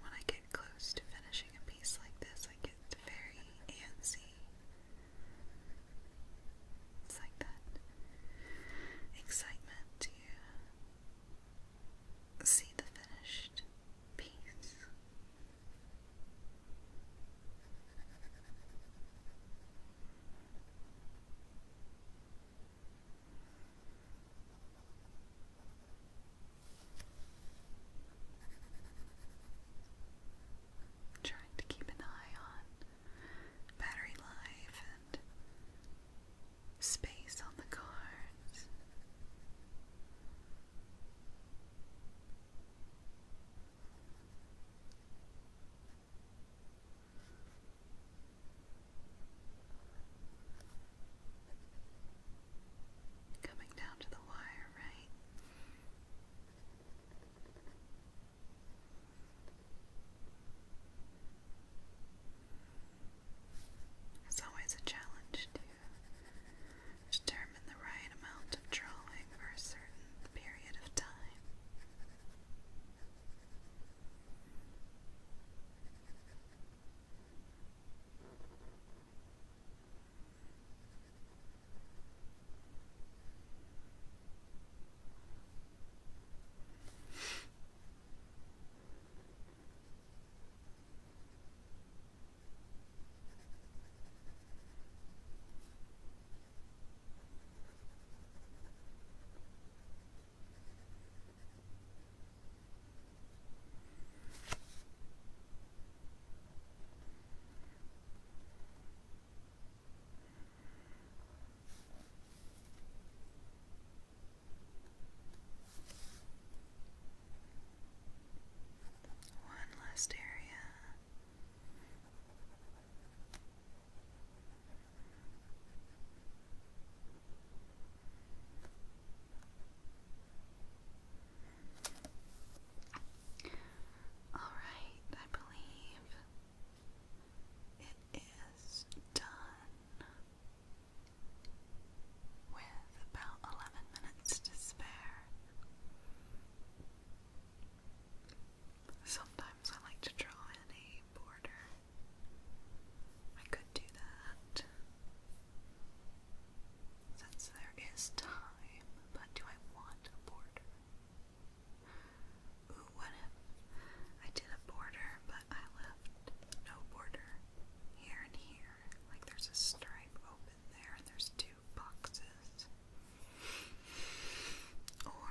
S1: When I get close to finishing a piece like this, I get very antsy. It's like that excitement to see the finished piece. Trying to keep an eye on battery life and space on the cards. Coming down to the wire, right? It's always a challenge to stir determine the right amount of drawing for a certain period of time. One last area all right, I believe it is done with about 11 minutes to spare. Sometimes I like to draw in a border. I could do that. Since there is time, but do I want a border? what if I did a border, but I left no border here and here? Like there's a stripe open there, and there's two boxes. Or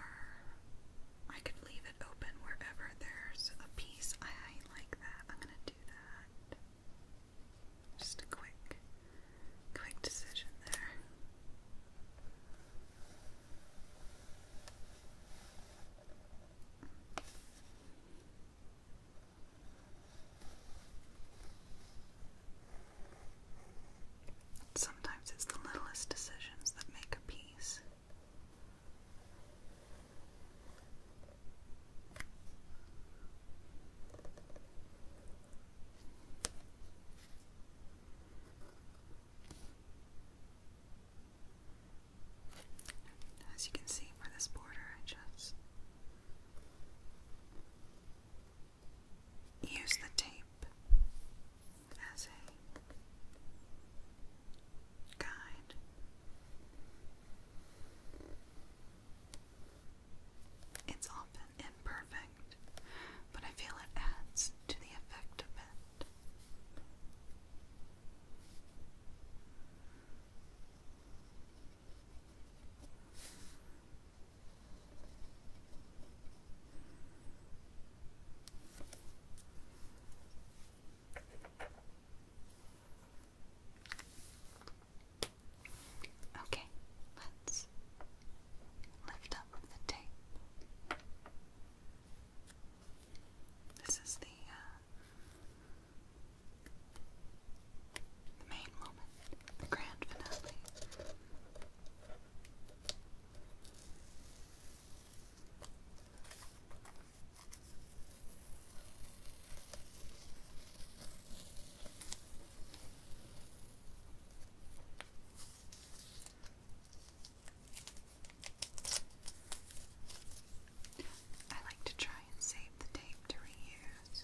S1: I could leave it open wherever there's a piece I like that. I'm gonna do that. Just a quick, quick decision there. Sometimes it's the littlest decisions that make a piece. As you can see for this border, I just use the tape as a guide. It's often imperfect, but I feel it adds to the effect of it. Okay, let's lift up the tape.
S2: This is the uh, main moment, the grand finale. I like to try and save the tape to reuse.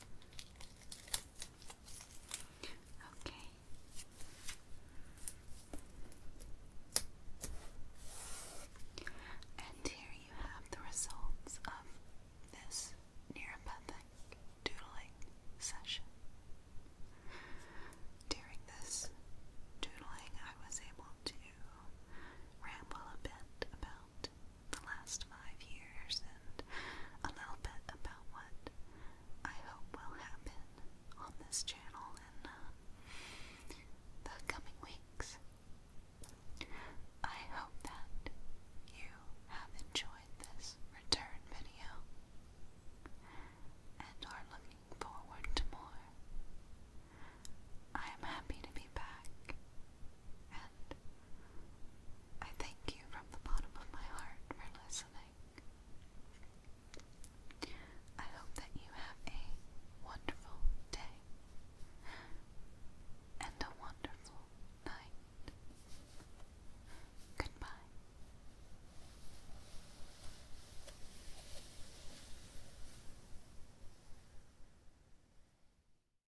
S1: Okay. And here you have the results of this neuropathic doodling session. During this doodling, I was able to ramble a bit about the last five years and a little bit about what I hope will happen on this channel in uh, the coming weeks. I hope that you have enjoyed this return video and are looking forward to more. I am happy to be back and I thank you from the bottom of my heart for listening. I hope that you have a wonderful day and a wonderful night. Goodbye.